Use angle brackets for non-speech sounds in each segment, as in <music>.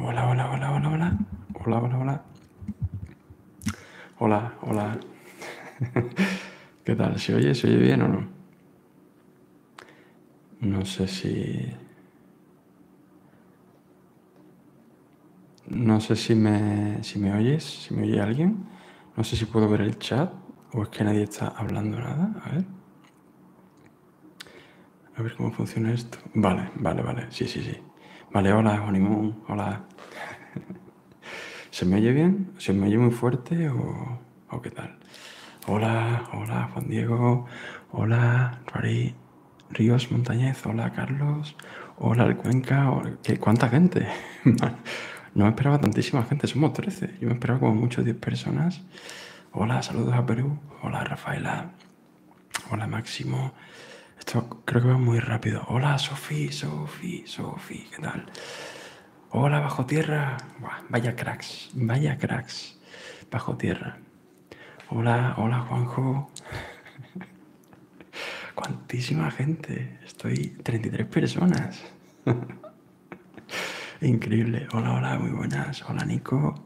Hola, hola, hola, hola, hola. Hola, hola, hola. Hola, hola. <laughs> ¿Qué tal? ¿Se oye? ¿Se bien o no? No sé si... No sé si me, si me oyes, si me oye alguien. No sé si puedo ver el chat o es que nadie está hablando nada. A ver. A ver cómo funciona esto. Vale, vale, vale. Sí, sí, sí. Vale, hola, Juanimón, Hola. <laughs> ¿Se me oye bien? ¿Se me oye muy fuerte o, qué tal? Hola, hola, Juan Diego. Hola, Ríos Montañez. Hola, Carlos. Hola, el Cuenca. ¿Qué, ¿Cuánta gente? <laughs> no me esperaba tantísima gente. Somos 13. Yo me esperaba como mucho 10 personas. Hola, saludos a Perú. Hola, Rafaela. Hola Máximo. Esto creo que va muy rápido. Hola Sofi, Sofi, Sofi, ¿qué tal? Hola Bajo Tierra. vaya cracks, vaya cracks. Bajo Tierra. Hola, hola Juanjo. <laughs> Cuantísima gente. Estoy 33 personas. <laughs> Increíble. Hola, hola, muy buenas. Hola Nico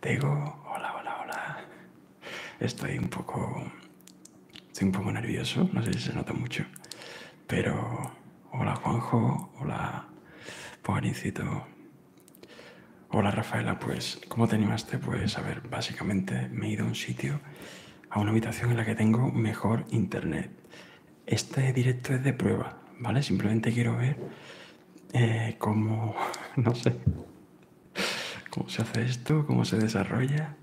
te digo, hola, hola, hola. Estoy un poco... un poco nervioso, no sé si se nota mucho. Pero... Hola Juanjo, hola Pogarincito. Hola Rafaela, pues ¿cómo te animaste? Pues a ver, básicamente me he ido a un sitio, a una habitación en la que tengo mejor internet. Este directo es de prueba, ¿vale? Simplemente quiero ver eh, cómo, <laughs> no sé, <laughs> ¿Cómo se hace esto? ¿Cómo se desarrolla?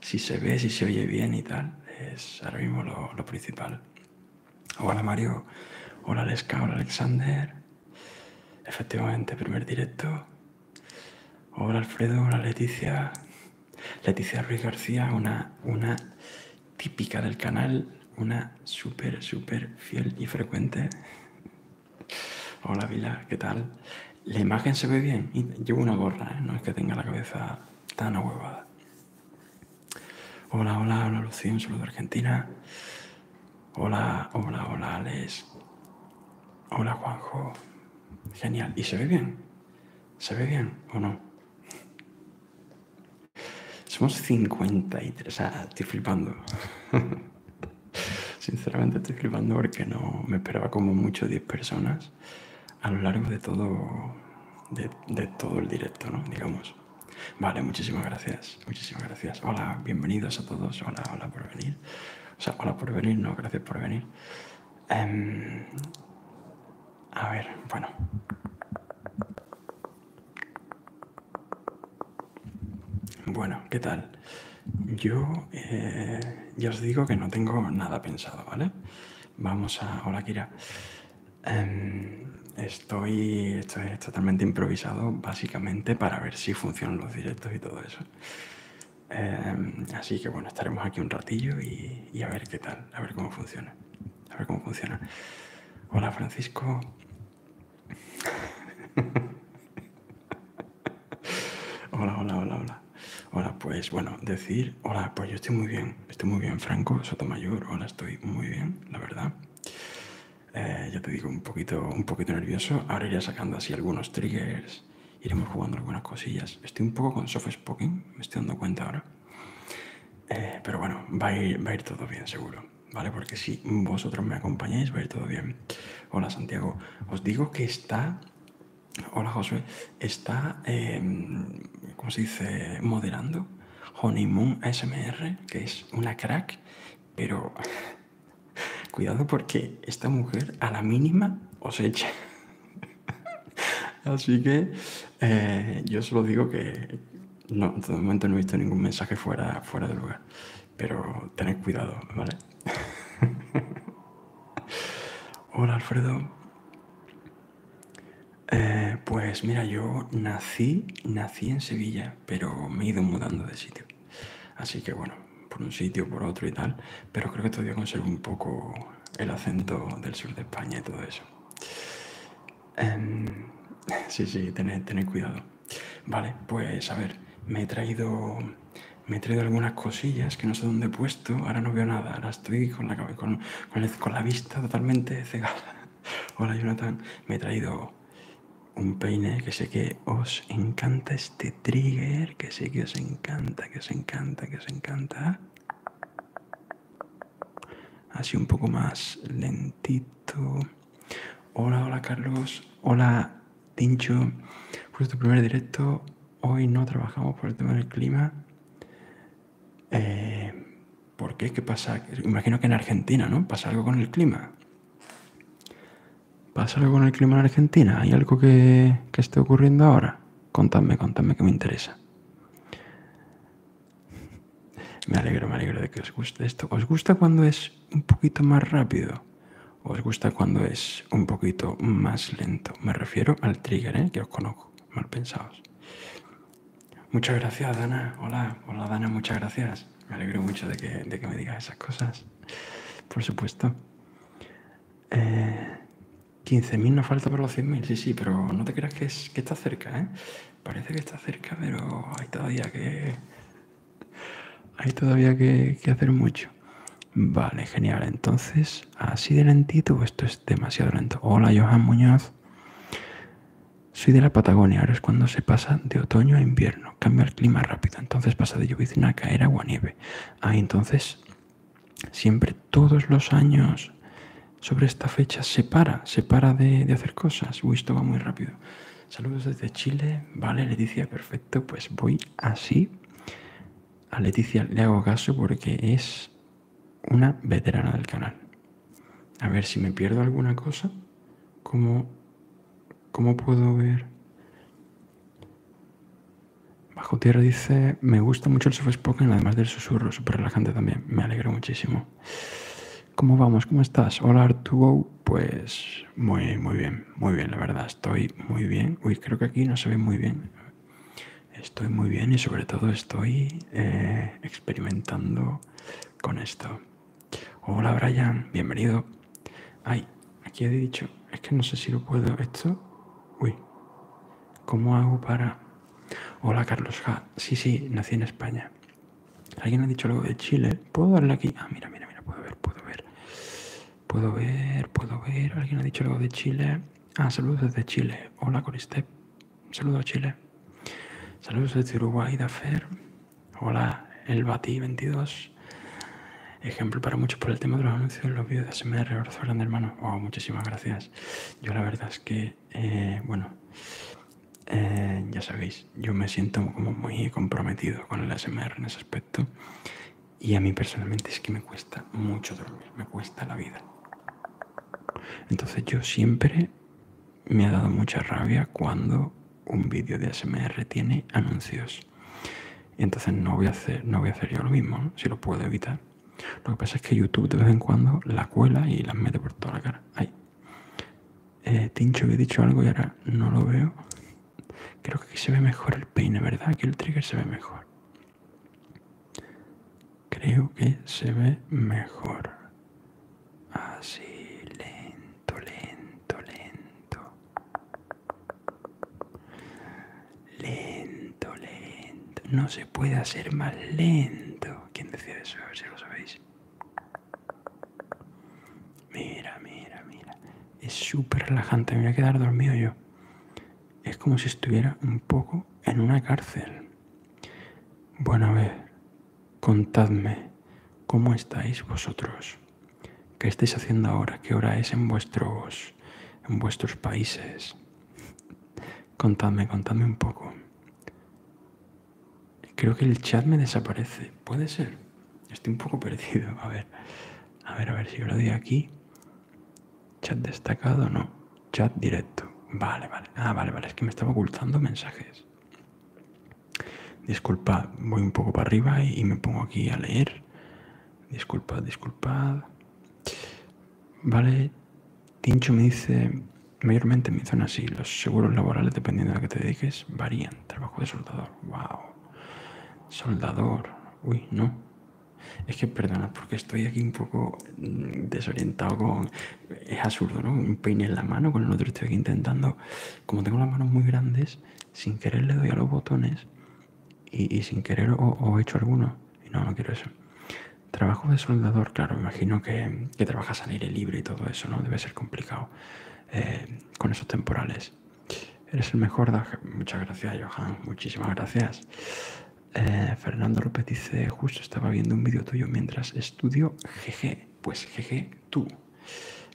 Si se ve, si se oye bien y tal. Es ahora mismo lo, principal. Hola Mario, hola Lesca, hola Alexander. Efectivamente, primer directo. Hola Alfredo, hola Leticia. Leticia Ruiz García, una, una típica del canal, una súper, súper fiel y frecuente. Hola Vila, ¿qué tal? La imagen se ve bien. Y llevo una gorra, ¿eh? no es que tenga la cabeza tan ahuevada. Hola, hola, hola Lucía, un de Argentina. Hola, hola, hola Alex. Hola Juanjo. Genial. ¿Y se ve bien? ¿Se ve bien o no? Somos 53. y ah, estoy flipando. <laughs> <laughs> Sinceramente estoy flipando porque no me esperaba como mucho 10 personas a lo largo de todo, de, todo el directo, ¿no? Digamos. Vale, muchísimas gracias, muchísimas gracias. Hola, bienvenidos a todos. Hola, hola por venir. O sea, hola por venir, no, gracias por venir. Em, a ver, bueno. Bueno, ¿qué tal? Yo eh, ya os digo que no tengo nada pensado, ¿vale? Vamos a... Hola, Kira. Em, estoy, totalmente improvisado, básicamente para ver si funcionan los directos y todo eso. Em, así que bueno, estaremos aquí un ratillo y a ver qué tal, a ver cómo funciona. A ver cómo funciona. Hola Francisco, <laughs> hola, hola, hola, hola. Hola, pues bueno, decir, hola, pues yo estoy muy bien, estoy muy bien, Franco Sotomayor, hola, estoy muy bien, la verdad. Eh, ya te digo, un poquito, un poquito nervioso. Ahora iré sacando así algunos triggers, iremos jugando algunas cosillas. Estoy un poco con soft spoken, me estoy dando cuenta ahora. Eh, pero bueno, va a ir todo bien, seguro. Porque si vosotros me acompañáis va a ir todo bien. Hola Santiago, os digo que está... Hola José está, em, ¿cómo se dice? Moderando Honeymoon ASMR, que es una crack, pero <laughs> cuidado porque esta mujer a la mínima os echa. <laughs> Así que eh, yo solo digo que no, todo momento no he visto ningún mensaje fuera, fuera de lugar pero tened cuidado, ¿vale? <laughs> Hola Alfredo. Eh, pues mira, yo nací, nací en Sevilla, pero me he ido mudando de sitio. Así que bueno, por un sitio, por otro y tal, pero creo que todavía conservo un poco el acento del sur de España y todo eso. Em, <laughs> sí, sí, tened cuidado. Vale, pues a ver, me he traído me traído algunas cosillas que no sé dónde he puesto, ahora no veo nada, ahora estoy con la, con la vista totalmente <laughs> cegada. Hola Jonathan, me he traído un peine que sé que os encanta este trigger, que sé que os encanta, que os encanta, que os encanta. Así un poco más lentito. Hola, hola Carlos, hola Tincho, fue tu primer directo, hoy no trabajamos por el tema del clima. Eh, ¿Por qué? ¿Qué pasa? Imagino que en Argentina, ¿no? Pasa algo con el clima. ¿Pasa algo con el clima en Argentina? ¿Hay algo que, que esté ocurriendo ahora? Contadme, contadme que me interesa. <laughs> Me alegro, me alegro de que os guste esto. ¿Os gusta cuando es un poquito más rápido? ¿Os gusta cuando es un poquito más lento? Me refiero al trigger, ¿eh? que os conozco, mal pensados. Muchas gracias, Dana. Hola, hola, Dana, muchas gracias. Me alegro mucho de que, me digas esas cosas. Por supuesto. 15.000 eh, nos falta para los 100.000, sí, sí, pero no te creas que, es, que está cerca, ¿eh? Parece que está cerca, pero hay todavía que, hay todavía que, hacer mucho. Vale, genial. Entonces, así de lentito, pues esto es demasiado lento. Hola, Johan Muñoz. Soy de la Patagonia, ahora es cuando se pasa de otoño a invierno, cambia el clima rápido, entonces pasa de llovizna ah, a caer agua nieve. Ah, entonces siempre todos los años sobre esta fecha se para, se para de, de hacer cosas. Uy, esto va muy rápido. Saludos desde Chile. Vale, Leticia, perfecto. Pues voy así. A Leticia le hago caso porque es una veterana del canal. A ver si me pierdo alguna cosa. ¿Cómo, puedo ver? Bajo Tierra dice, me gusta mucho el Spoken, además del susurro, súper relajante también. Me alegro muchísimo. ¿Cómo vamos? ¿Cómo estás? Hola Arturo, pues muy, muy bien, muy bien, la verdad, estoy muy bien. Uy, creo que aquí no se ve muy bien. Estoy muy bien y sobre todo estoy eh, experimentando con esto. Hola Brian, bienvenido. Ay, aquí he dicho, es que no sé si lo puedo. Esto, uy, ¿cómo hago para... Hola Carlos Ja, sí, sí, nací en España. Alguien ha dicho algo de Chile puedo darle aquí. Ah, mira, mira, mira, puedo ver, puedo ver. Puedo ver, puedo ver. Alguien ha dicho algo de Chile. Ah, saludos desde Chile. Hola, Coristep. Saludos a Chile. Saludos desde Uruguay, Dafer. Hola, el Bati 22. Ejemplo para muchos por el tema de los anuncios los vídeos de SMR, Abrazo grande, hermano. Oh, muchísimas gracias. Yo la verdad es que, eh, bueno, eh, ya sabéis, yo me siento como muy comprometido con el ASMR en ese aspecto. Y a mí personalmente es que me cuesta mucho dormir, me cuesta la vida. Entonces yo siempre me ha dado mucha rabia cuando un vídeo de ASMR tiene anuncios. Entonces no voy a hacer, no voy a hacer yo lo mismo, si lo puedo evitar. Lo que pasa es que YouTube de vez en cuando la cuela y las mete por toda la cara. Ay. Eh, Tincho, que he dicho algo y ahora no lo veo. Creo que se ve mejor el peine, ¿verdad? que el trigger se ve mejor. Creo que se ve mejor. Así, lento, lento, lento. Lento, lento. No se puede hacer más lento. ¿Quién decía eso? A ver si lo sabéis. Mira, mira, mira. Es súper relajante. Me voy a quedar dormido yo. Es como si estuviera un poco en una cárcel. Bueno, a ver, contadme, ¿cómo estáis vosotros? ¿Qué estáis haciendo ahora? ¿Qué hora es en vuestros, en vuestros países? Contadme, contadme un poco. Creo que el chat me desaparece. ¿Puede ser? Estoy un poco <laughs> perdido. A ver, a ver, a ver si lo doy aquí. Chat destacado, no. Chat directo. Vale, vale. Ah, vale, vale. Es que me estaba ocultando mensajes. Disculpad, voy un poco para arriba y, me pongo aquí a leer. Disculpad, disculpad. Vale, Tincho me dice, mayormente me zona así, los seguros laborales, dependiendo de a qué te dediques, varían. Trabajo de soldador, wow. Soldador. Uy, no. Es que perdona, porque estoy aquí un poco mm, desorientado con... Es absurdo, ¿no? Un peine en la mano, con el otro estoy aquí intentando... Como tengo las manos muy grandes, sin querer le doy a los botones y, sin querer o he hecho alguno. Y no, no quiero eso. Trabajo de soldador, claro, me imagino que, trabajas al aire libre y todo eso, ¿no? Debe ser complicado eh, con esos temporales. Eres el mejor, Muchas gracias, Johan. Muchísimas gracias. Eh, Fernando López dice, justo estaba viendo un vídeo tuyo mientras estudio. Jeje, pues jeje, tú.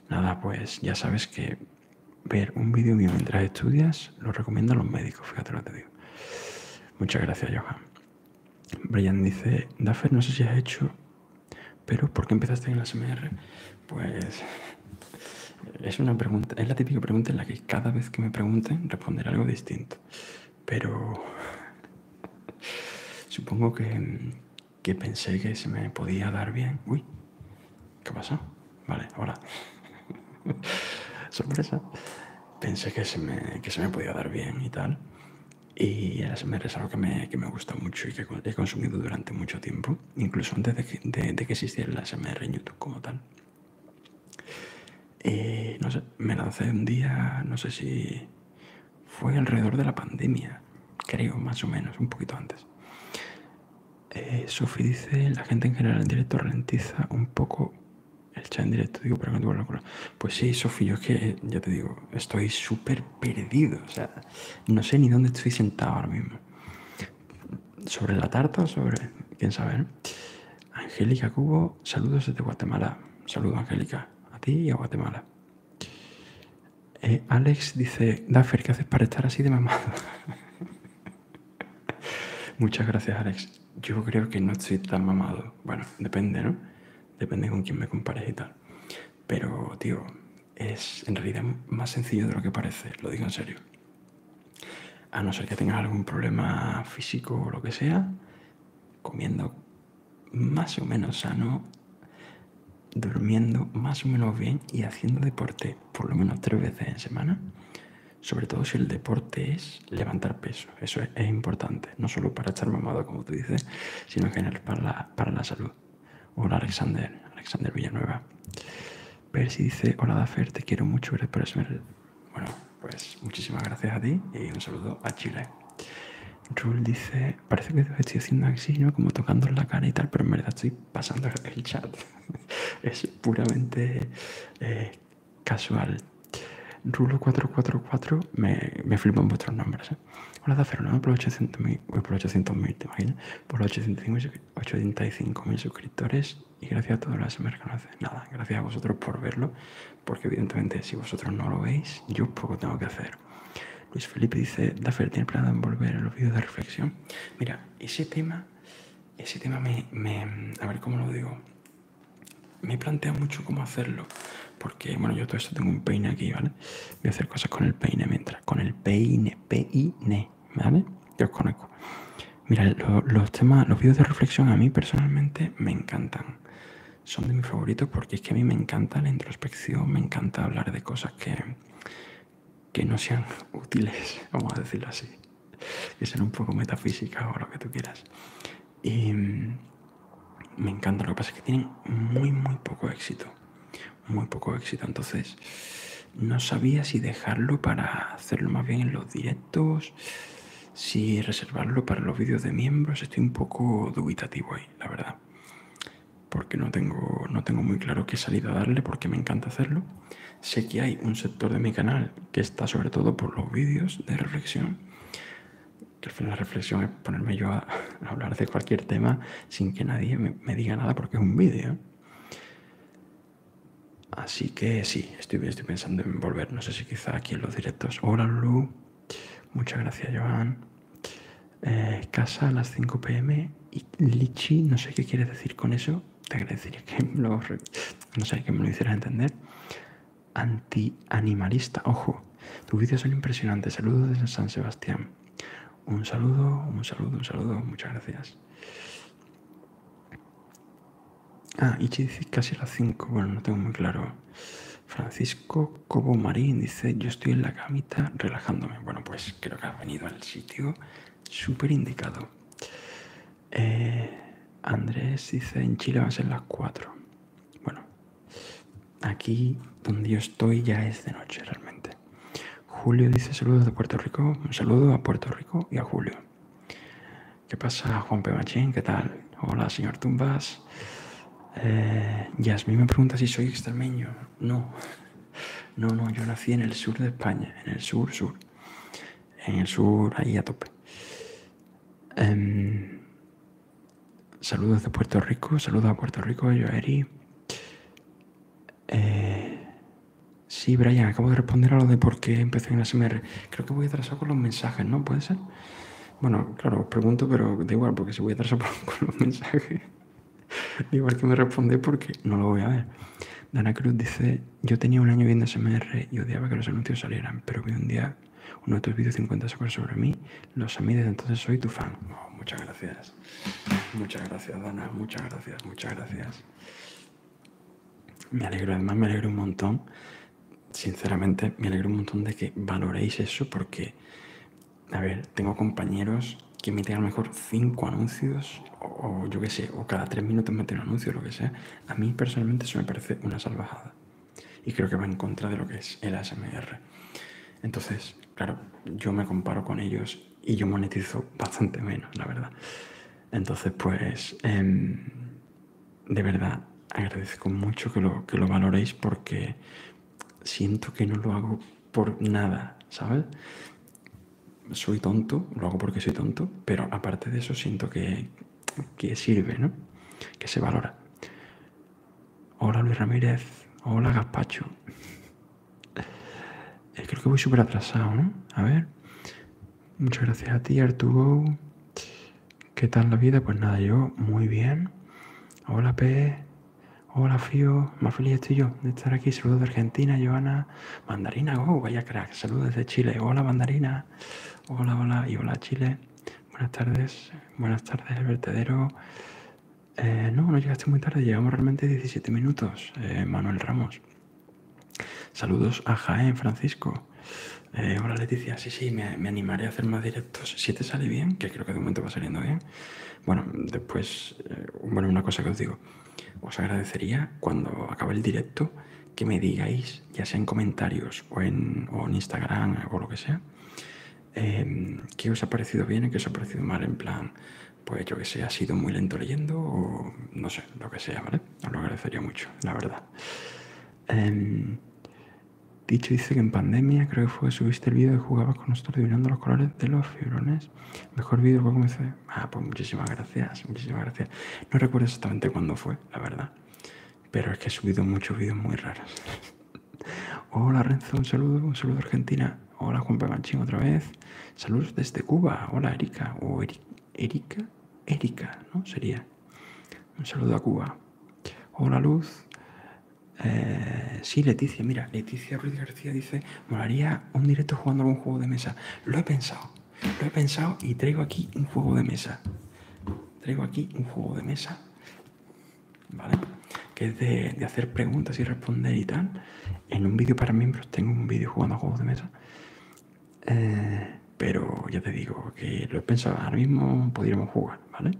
Nada, pues ya sabes que ver un vídeo mío mientras estudias lo recomiendo a los médicos, fíjate lo que te digo. Muchas gracias, Johan. Brian dice, Daffer, no sé si has hecho, pero ¿por qué empezaste en la SMR? Pues es una pregunta, es la típica pregunta en la que cada vez que me pregunten responderé algo distinto. Pero supongo que, pensé que se me podía dar bien. Uy, ¿qué pasó? Vale, ahora. <laughs> Sorpresa. Pensé que se, me, que se me podía dar bien y tal. Y es algo que me, que me gusta mucho y que he consumido durante mucho tiempo incluso antes de que, existiera la SMR en YouTube como tal. Eh, no sé, me lancé un día, no sé si fue alrededor de la pandemia, creo, más o menos, un poquito antes. Eh, Sofi dice, la gente en general en directo ralentiza un poco el chat en directo, digo, pero no la Pues sí, Sofi, yo es que, ya te digo, estoy súper perdido, o sea, no sé ni dónde estoy sentado ahora mismo sobre la tarta, sobre. quién sabe, Angélica Cubo, saludos desde Guatemala. Saludos, Angélica, a ti y a Guatemala. Eh, Alex dice, Daffer, ¿qué haces para estar así de mamado? <laughs> Muchas gracias, Alex. Yo creo que no estoy tan mamado. Bueno, depende, ¿no? Depende con quién me compares y tal. Pero, tío, es en realidad más sencillo de lo que parece, lo digo en serio. A no ser que tengas algún problema físico o lo que sea, comiendo más o menos sano, durmiendo más o menos bien y haciendo deporte por lo menos tres veces en semana, sobre todo si el deporte es levantar peso. Eso es, importante, no solo para echar mamado, como tú dices, sino en para la salud. Hola Alexander, Alexander Villanueva. Percy dice, hola Dafer, te quiero mucho, eres eso Bueno, pues muchísimas gracias a ti y un saludo a Chile. rul dice, parece que estoy haciendo así, Como tocando la cara y tal, pero en verdad estoy pasando el chat. <laughs> es puramente eh, casual. Rulo444, me, me en vuestros nombres. ¿eh? Hola, Dafer, por 800.000, te imaginas. Por 85. 85.000 suscriptores y gracias a todos los que Nada, gracias a vosotros por verlo, porque evidentemente si vosotros no lo veis, yo poco tengo que hacer. Luis Felipe dice, Daffer, ¿tiene de envolver en los vídeos de reflexión? Mira, ese tema, ese tema me, me, a ver cómo lo digo, me plantea mucho cómo hacerlo, porque bueno, yo todo esto tengo un peine aquí, ¿vale? Voy a hacer cosas con el peine mientras, con el peine, peine. ¿vale? Yo os conozco. Mira, los temas, los vídeos de reflexión a mí personalmente me encantan. Son de mis favoritos porque es que a mí me encanta la introspección, me encanta hablar de cosas que, que no sean <laughs> útiles, vamos a decirlo así, que sean un poco metafísicas o lo que tú quieras. Y mm, me encanta, lo que pasa es que tienen muy, muy poco éxito muy poco éxito. Entonces, no sabía si dejarlo para hacerlo más bien en los directos, si reservarlo para los vídeos de miembros. Estoy un poco dubitativo ahí, la verdad. Porque no tengo, no tengo muy claro qué salida darle, porque me encanta hacerlo. Sé que hay un sector de mi canal que está sobre todo por los vídeos de reflexión. Que al final la reflexión es ponerme yo a, hablar de cualquier tema sin que nadie me diga nada porque es un vídeo. Así que sí, estoy, pensando en volver, no sé si quizá aquí en los directos. Hola Lulu, muchas gracias Joan. Eh, casa a las 5 pm y Lichi, no sé qué quieres decir con eso, te agradecería que no sé, que me lo hicieras entender. Anti-animalista, ojo, tus vídeos son impresionantes, saludos desde San Sebastián. Un saludo, un saludo, un saludo, muchas gracias. Ah, y dice casi a las 5. Bueno, no tengo muy claro. Francisco Cobo Marín dice: Yo estoy en la camita relajándome. Bueno, pues creo que ha venido al sitio súper indicado. Eh, Andrés dice: En Chile va a ser las 4. Bueno, aquí donde yo estoy ya es de noche realmente. Julio dice saludos de Puerto Rico. Un saludo a Puerto Rico y a Julio. ¿Qué pasa, Juan P. Machín? ¿Qué tal? Hola, señor Tumbas. Eh, Yasmín me pregunta si soy extremeño. No, no, no, yo nací en el sur de España, en el sur, sur. En el sur, ahí a tope. Em, saludos de Puerto Rico, saludos a Puerto Rico, yo Eri. Eh, sí, Brian, acabo de responder a lo de por qué empecé en ASMR. Creo que voy a atrasado con los mensajes, ¿no? ¿Puede ser? Bueno, claro, os pregunto, pero da igual, porque si voy atrasado <laughs> con los mensajes, <laughs> da igual que me responde porque no lo voy a ver. Dana Cruz dice, yo tenía un año viendo SMR y odiaba que los anuncios salieran, pero vi un día uno de tus vídeos 50 sobre mí, los ha desde entonces soy tu fan. Oh, muchas gracias. Muchas gracias, Dana. Muchas gracias, muchas gracias. Me alegro, además me alegro un montón, sinceramente, me alegro un montón de que valoréis eso porque, a ver, tengo compañeros que meten a lo mejor cinco anuncios o, yo qué sé, o cada tres minutos meten un anuncio, lo que sea. A mí personalmente eso me parece una salvajada y creo que va en contra de lo que es el ASMR. Entonces, claro, yo me comparo con ellos y yo monetizo bastante menos, la verdad. Entonces, pues, em, de verdad, agradezco mucho que lo, que lo valoréis porque siento que no lo hago por nada, ¿sabes? Soy tonto, lo hago porque soy tonto, pero aparte de eso siento que, que sirve, ¿no? Que se valora. Hola Luis Ramírez, hola Gaspacho. Eh, creo que voy súper atrasado, ¿no? A ver. Muchas gracias a ti, Arturo. ¿Qué tal la vida? Pues nada, yo muy bien. Hola, P. Hola, Fío. Más feliz estoy yo de estar aquí. Saludos de Argentina, Joana. Mandarina, oh, vaya crack. Saludos desde Chile. Hola, Mandarina. Hola, hola. Y hola, Chile. Buenas tardes. Buenas tardes, el vertedero. Eh, no, no llegaste muy tarde. Llegamos realmente 17 minutos, eh, Manuel Ramos. Saludos a Jaén, Francisco. Eh, hola Leticia, sí, sí, me, animaré a hacer más directos. Si te sale bien, que creo que de momento va saliendo bien. Bueno, después, eh, bueno, una cosa que os digo. Os agradecería cuando acabe el directo que me digáis, ya sea en comentarios o en, Instagram o lo que sea, que eh, qué os ha parecido bien y qué os ha parecido mal. En plan, pues yo que sé, ha sido muy lento leyendo o no sé, lo que sea, ¿vale? Os lo agradecería mucho, la verdad. Em, dicho dice que en pandemia, creo que fue, subiste el vídeo y jugabas con nosotros adivinando los colores de los fibrones. Mejor vídeo cómo comencé. Ah, pues muchísimas gracias, muchísimas gracias. No recuerdo exactamente cuándo fue, la verdad. Pero es que he subido muchos vídeos muy raros. <laughs> Hola Renzo, un saludo, un saludo Argentina. Hola Juan Paganchín otra vez. Saludos desde Cuba. Hola Erika. Erika, Erika, ¿no? Sería. Un saludo a Cuba. Hola, Luz. Eh, sí, Leticia, mira, Leticia Ruiz García dice, molaría un directo jugando un juego de mesa. Lo he pensado, lo he pensado y traigo aquí un juego de mesa. Traigo aquí un juego de mesa, ¿vale? Que es de, de hacer preguntas y responder y tal. En un vídeo para miembros tengo un vídeo jugando a juegos de mesa eh, pero ya te digo que lo he pensado, ahora mismo podríamos jugar, ¿vale?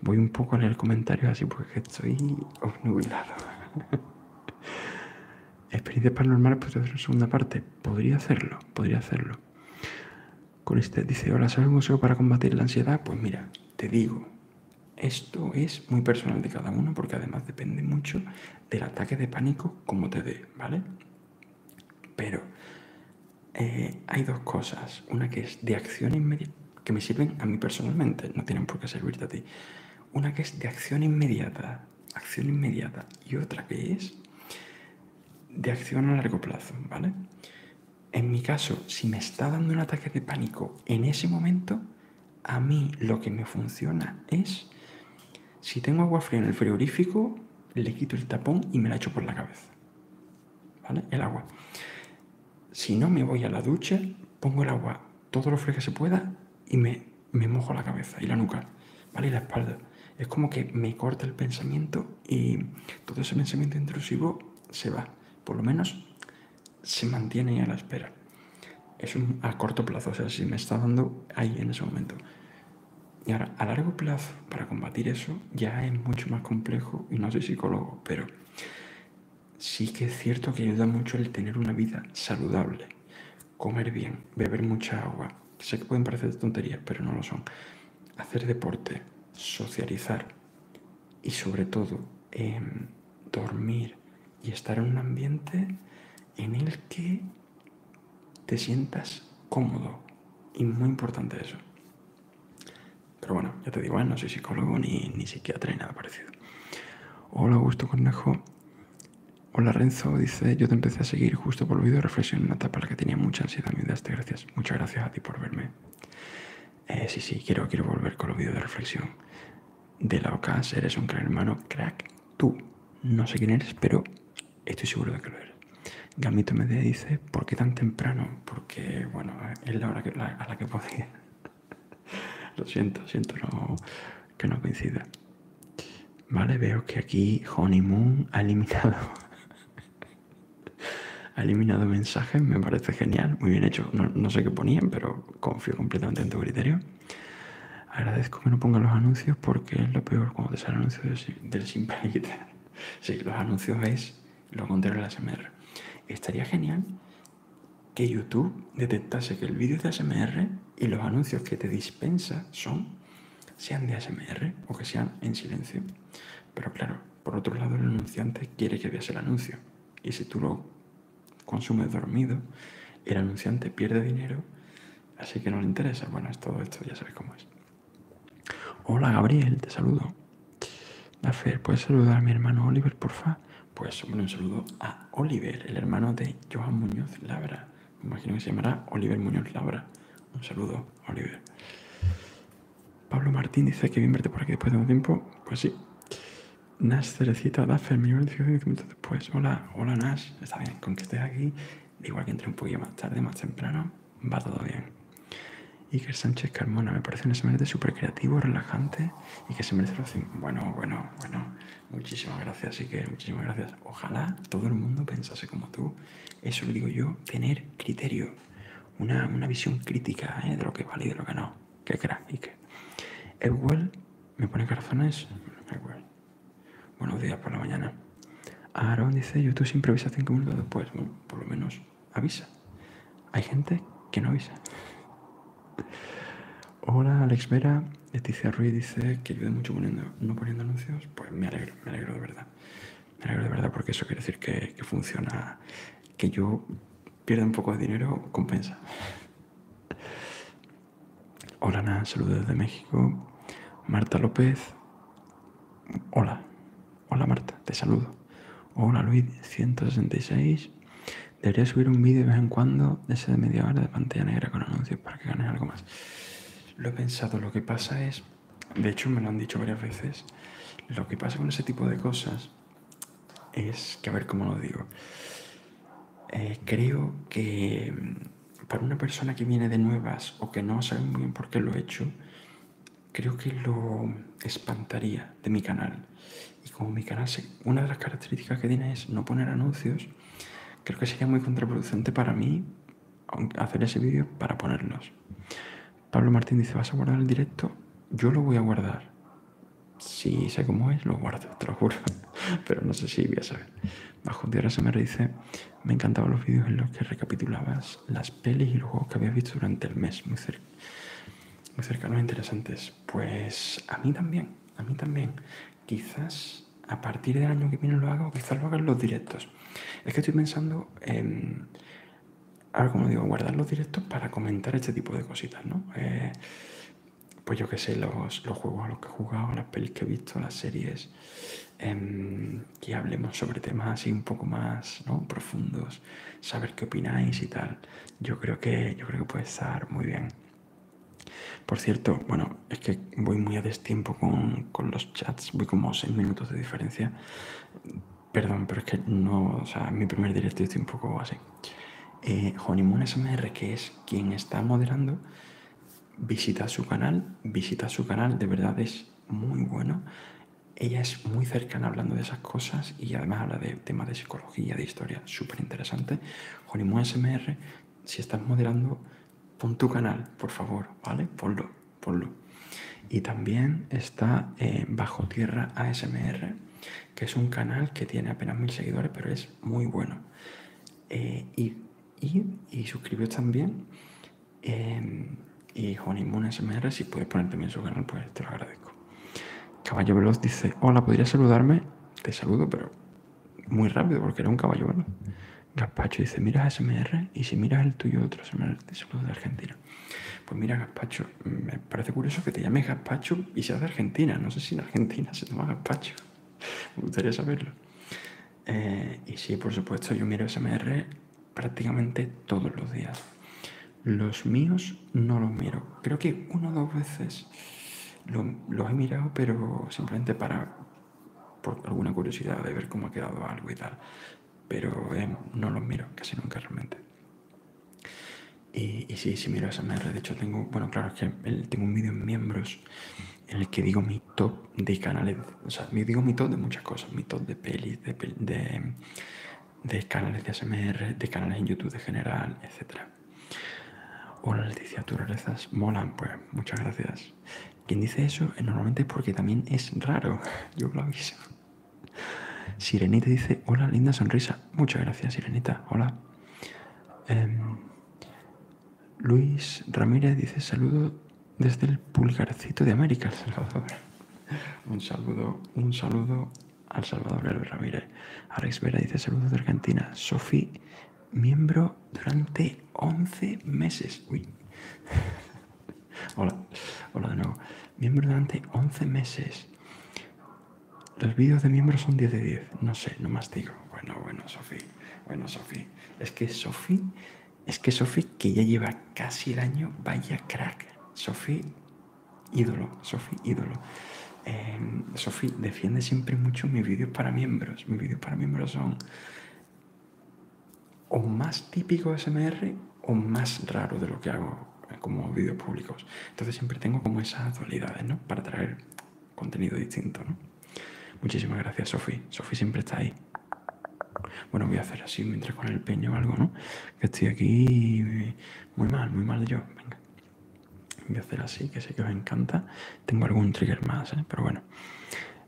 Voy un poco a el comentario así porque estoy obnubilado. <laughs> Experiencias paranormales, pues hacer la segunda parte. Podría hacerlo, podría hacerlo. Con este dice, ahora ¿sabes un para combatir la ansiedad? Pues mira, te digo, esto es muy personal de cada uno porque además depende mucho del ataque de pánico como te dé, ¿vale? Pero eh, hay dos cosas. Una que es de acción inmediata, que me sirven a mí personalmente, no tienen por qué servirte a ti. Una que es de acción inmediata, acción inmediata. Y otra que es de acción a largo plazo, ¿vale? En mi caso, si me está dando un ataque de pánico en ese momento, a mí lo que me funciona es, si tengo agua fría en el frigorífico, le quito el tapón y me la echo por la cabeza. ¿Vale? El agua. Si no me voy a la ducha, pongo el agua todo lo frío que se pueda y me, mojo la cabeza y la nuca, ¿vale? Y la espalda. Es como que me corta el pensamiento y todo ese pensamiento intrusivo se va. Por lo menos se mantiene a la espera es a corto plazo, o sea, si me está dando ahí en ese momento. Y ahora, a largo plazo, para combatir eso, ya es mucho más complejo y no soy psicólogo, pero sí que es cierto que ayuda mucho el tener una vida saludable, comer bien, beber mucha agua. Sé que pueden parecer tonterías, pero no lo son. Hacer deporte, socializar y sobre todo em, dormir y estar en un ambiente en el que te sientas cómodo. Y muy importante eso. Pero bueno, ya te digo, ¿eh? no soy psicólogo ni, ni psiquiatra ni nada parecido. Hola Augusto Cornejo. Hola Renzo, dice, yo te empecé a seguir justo por el vídeo de reflexión una etapa en la que tenía mucha ansiedad, me gracias. Muchas gracias a ti por verme. Eh, sí, sí, quiero, quiero volver con el vídeo de reflexión. De la OCAS, eres un gran hermano, crack. Tú, no sé quién eres, pero estoy seguro de que lo eres. Gamito me dice, ¿por qué tan temprano? Porque, bueno, es la hora a la que podía. <laughs> lo siento, siento que no coincida. Vale, veo que aquí Honeymoon ha eliminado. <laughs> ha eliminado mensajes, me parece genial, muy bien hecho. no sé qué ponían, pero confío completamente en tu criterio. Agradezco que no ponga los anuncios porque es lo peor cuando te salen anuncios del, del simple <laughs> Sí, los anuncios es lo contrario del la ASMR. Estaría genial que YouTube detectase que el vídeo es de ASMR y los anuncios que te dispensa son, sean de ASMR o que sean en silencio. Pero claro, por otro lado el anunciante quiere que veas el anuncio. Y si tú lo consumes dormido, el anunciante pierde dinero Así que no le interesa. Bueno, es todo esto, ya sabes cómo es. Hola Gabriel, te saludo. Dafer, ¿puedes saludar a mi hermano Oliver, porfa? Pues un saludo a Oliver, el hermano de Joan Muñoz Labra. Me imagino que se llamará Oliver Muñoz Labra. Un saludo, Oliver. Pablo Martín dice que bien verte por aquí después de un tiempo. Pues sí. Nas mi pues Hola, hola Nash, está bien, con que estés aquí, igual que entre un poquillo más tarde, más temprano, va todo bien. Iker Sánchez Carmona, me parece un SMRT súper creativo, relajante y que se merece lo Bueno, bueno, bueno, muchísimas gracias, Iker, muchísimas gracias. Ojalá todo el mundo pensase como tú. Eso lo digo yo, tener criterio, una, visión crítica ¿eh? de lo que vale y de lo que no. Qué crack, Iker. me pone corazones. igual Buenos días por la mañana. Aaron dice, YouTube siempre avisa cinco minutos después. Bueno, por lo menos avisa. Hay gente que no avisa. Hola, Alex Vera. Leticia Ruiz dice que ayuda mucho no poniendo anuncios. Pues me alegro, me alegro de verdad. Me alegro de verdad porque eso quiere decir que, que funciona, que yo pierda un poco de dinero, compensa. Hola, nada, saludos desde México. Marta López. Hola, hola Marta, te saludo. Hola Luis, 166. Debería subir un vídeo de vez en cuando, ese de media hora de pantalla negra con anuncios para que ganes algo más. Lo he pensado, lo que pasa es, de hecho me lo han dicho varias veces, lo que pasa con ese tipo de cosas es que, a ver cómo lo digo, eh, creo que mm, para una persona que viene de nuevas o que no sabe muy bien por qué lo he hecho, creo que lo espantaría de mi canal. Y como mi canal, una de las características que tiene es no poner anuncios, creo que sería muy contraproducente para mí hacer ese vídeo para ponerlos. Pablo Martín dice, ¿vas a guardar el directo? Yo lo voy a guardar. Si sé cómo es, lo guardo, te lo juro. <laughs> Pero no sé si voy a saber. Bajo ahora se me dice, me encantaban los vídeos en los que recapitulabas las pelis y los juegos que habías visto durante el mes, muy, muy cercanos e interesantes. Pues a mí también, a mí también. Quizás a partir del año que viene lo hago quizás lo haga los directos. Es que estoy pensando en, ahora como digo, guardar los directos para comentar este tipo de cositas, ¿no? Eh, pues yo qué sé, los, los juegos a los que he jugado, las pelis que he visto, las series, Em, que hablemos sobre temas así un poco más profundos, saber qué opináis y tal. Yo creo que, yo creo que puede estar muy bien. Por cierto, bueno, es que voy muy a destiempo con, los chats, voy como seis 6 minutos de diferencia. Perdón, pero es que no, o sea, en mi primer directo estoy un poco así. Eh, SMR, que es quien está moderando, visita su canal, visita su canal, de verdad es muy bueno. Ella es muy cercana hablando de esas cosas y además habla de temas de psicología, de historia, súper interesante. Jorimu SMR, si estás moderando, pon tu canal, por favor, ¿vale? Ponlo, ponlo. Y también está eh, Bajo Tierra ASMR, que es un canal que tiene apenas mil seguidores, pero es muy bueno. Eh, y y, y también. Em, y Johnny SMR, si puedes poner también su canal, pues te lo agradezco. Caballo Veloz dice, hola, ¿podrías saludarme? Te saludo, pero muy rápido, porque era un caballo veloz. Gaspacho dice, mira SMR y si miras el tuyo, otro SMR, te saludo de Argentina. Pues mira, Gaspacho, me parece curioso que te llames Gaspacho y seas de Argentina. No sé si en Argentina se llama Gaspacho. <laughs> Me gustaría saberlo. Eh, y sí, por supuesto, yo miro SMR prácticamente todos los días. Los míos no los miro. Creo que una o dos veces los he mirado, pero simplemente para por alguna curiosidad de ver cómo ha quedado algo y tal. Pero eh, no los miro casi nunca realmente. Y, sí, sí miro SMR. De hecho, tengo, bueno, claro, es que tengo un vídeo en miembros en el que digo mi top de canales, o sea, digo mi top de muchas cosas, mi top de pelis, de, canales de ASMR, de canales en YouTube de general, etc. Hola Leticia, tu rarezas molan, pues muchas gracias. Quien dice eso normalmente es porque también es raro, <laughs> yo lo aviso. Sirenita dice, hola linda sonrisa, muchas gracias Sirenita, hola. Em, Luis Ramírez dice saludo desde el pulgarcito de América, El Salvador. <laughs> Un saludo, un saludo al Salvador El Ramírez. Alex Vera dice saludos de Argentina. Sofi, miembro durante 11 meses. <laughs> hola, hola de nuevo. Miembro durante 11 meses. Los vídeos de miembros son 10 de 10. No sé, no más digo. Bueno, bueno, Sofía. Bueno, Sofi, es que Sofi, es que Sofi que ya lleva casi el año, vaya crack. Sofi, ídolo, Sofi, ídolo. Eh, em, Sofi, defiende siempre mucho mis vídeos para miembros. Mis vídeos para miembros son o más típico SMR o más raro de lo que hago como vídeos públicos. Entonces siempre tengo como esas dualidades, ¿no? Para traer contenido distinto, ¿no? Muchísimas gracias, Sofi. Sofi siempre está ahí. Bueno, voy a hacer así mientras con el peño o algo, ¿no? Que estoy aquí muy mal, muy mal yo. Venga. Voy a hacer así, que sé que os encanta. Tengo algún trigger más, ¿eh? Pero bueno.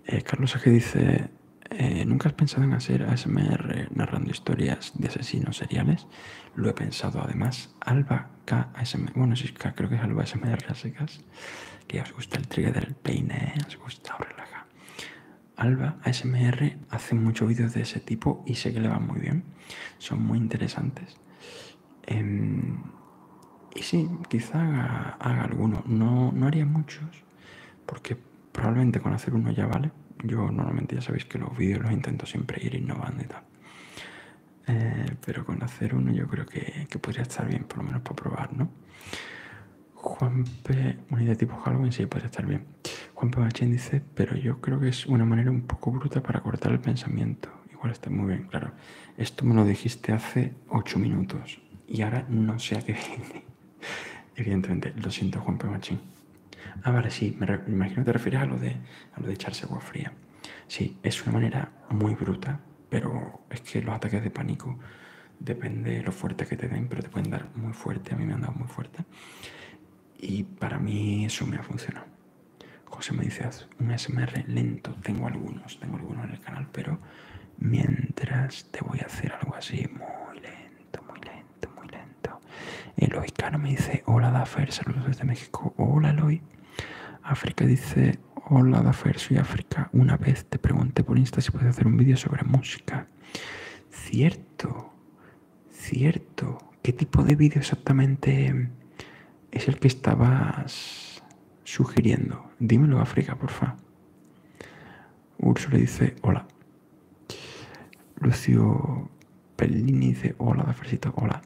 Eh, Carlos Aje dice... Eh, ¿Nunca has pensado en hacer ASMR narrando historias de asesinos seriales? Lo he pensado además. Alba K ASMR. Bueno, K, creo que es Alba ASMR, así que os gusta el trigger del peine, os gusta o relaja. Alba ASMR hace muchos vídeos de ese tipo y sé que le van muy bien, son muy interesantes. Em, y sí, quizá haga, algunos, no, haría muchos, porque probablemente con hacer uno ya vale. Yo normalmente ya sabéis que los vídeos los intento siempre ir innovando y tal. Eh, pero con hacer uno yo creo que podría estar bien, por lo menos para probar, ¿no? Juan P. de tipo Halloween, sí, puede estar bien. Juan P. dice, pero yo creo que es una manera un poco bruta para cortar el pensamiento. Igual está muy bien, claro. Esto me lo dijiste hace ocho minutos y ahora no sé a qué viene. <laughs> Evidentemente, lo siento, Juan P. Machín. Ah, vale, sí, me, imagino que te refieres a lo de, a lo de echarse agua fría. Sí, es una manera muy bruta pero es que los ataques de pánico depende de lo fuerte que te den, pero te pueden dar muy fuerte. A mí me han dado muy fuerte. Y para mí eso me ha funcionado. José me dice, haz un SMR lento. Tengo algunos, tengo algunos en el canal, pero mientras te voy a hacer algo así muy lento, muy lento, muy lento. Eloy Cano me dice, hola Dafer, saludos desde México. Hola Eloy. África dice, hola Dafer, soy África. Una vez te pregunté por Insta si puedes hacer un vídeo sobre música. Cierto, cierto. ¿Qué tipo de vídeo exactamente es el que estabas sugiriendo? Dímelo África, porfa. Urso le dice hola. Lucio Pellini dice hola Dafersito, hola.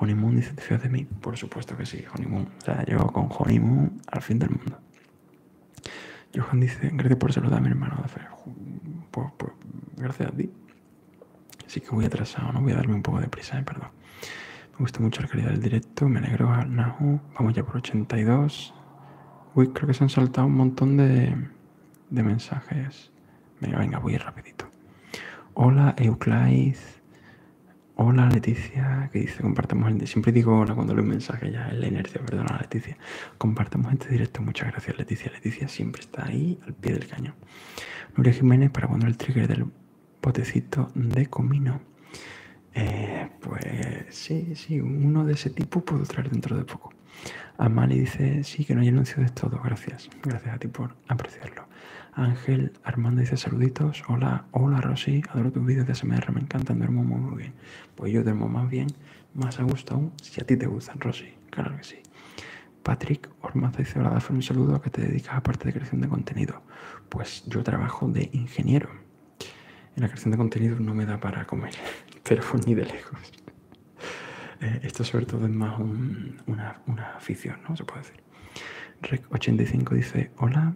Honeymoon dice, ¿te de mí? Por supuesto que sí, Honeymoon. O sea, llego con Honeymoon al fin del mundo. Johan dice, gracias por saludar a mi hermano. Pues, pues, gracias a ti. Así que voy atrasado, ¿no? Voy a darme un poco de prisa, eh, perdón. Me gusta mucho la calidad del directo, me alegro, Nahu. Vamos ya por 82. Uy, creo que se han saltado un montón de, mensajes. Venga, venga, voy rapidito. Hola, Euclid. Hola Leticia, que dice compartamos el Siempre digo hola cuando leo un mensaje, ya es la inercia, perdona Leticia. Compartamos este directo, muchas gracias Leticia. Leticia siempre está ahí al pie del cañón. Nuria Jiménez, para cuando el trigger del botecito de comino. Eh, pues sí, sí, uno de ese tipo puedo traer dentro de poco. Amali dice, sí, que no hay anuncio de todo, gracias. Gracias a ti por apreciarlo. Ángel Armando dice saluditos, Hola, hola Rosy, adoro tus vídeos de SMR, me encantan, duermo muy, muy bien. Pues yo duermo más bien, más a gusto aún, si a ti te gustan, Rosy, claro que sí. Patrick Ormaza dice, hola Dafne, un saludo a que te dedicas a parte de creación de contenido. Pues yo trabajo de ingeniero. En la creación de contenido no me da para comer, <laughs> pero ni de lejos. <laughs> Eh, esto sobre todo es más una, una afición, ¿no? Se puede decir. Rec85 dice, hola,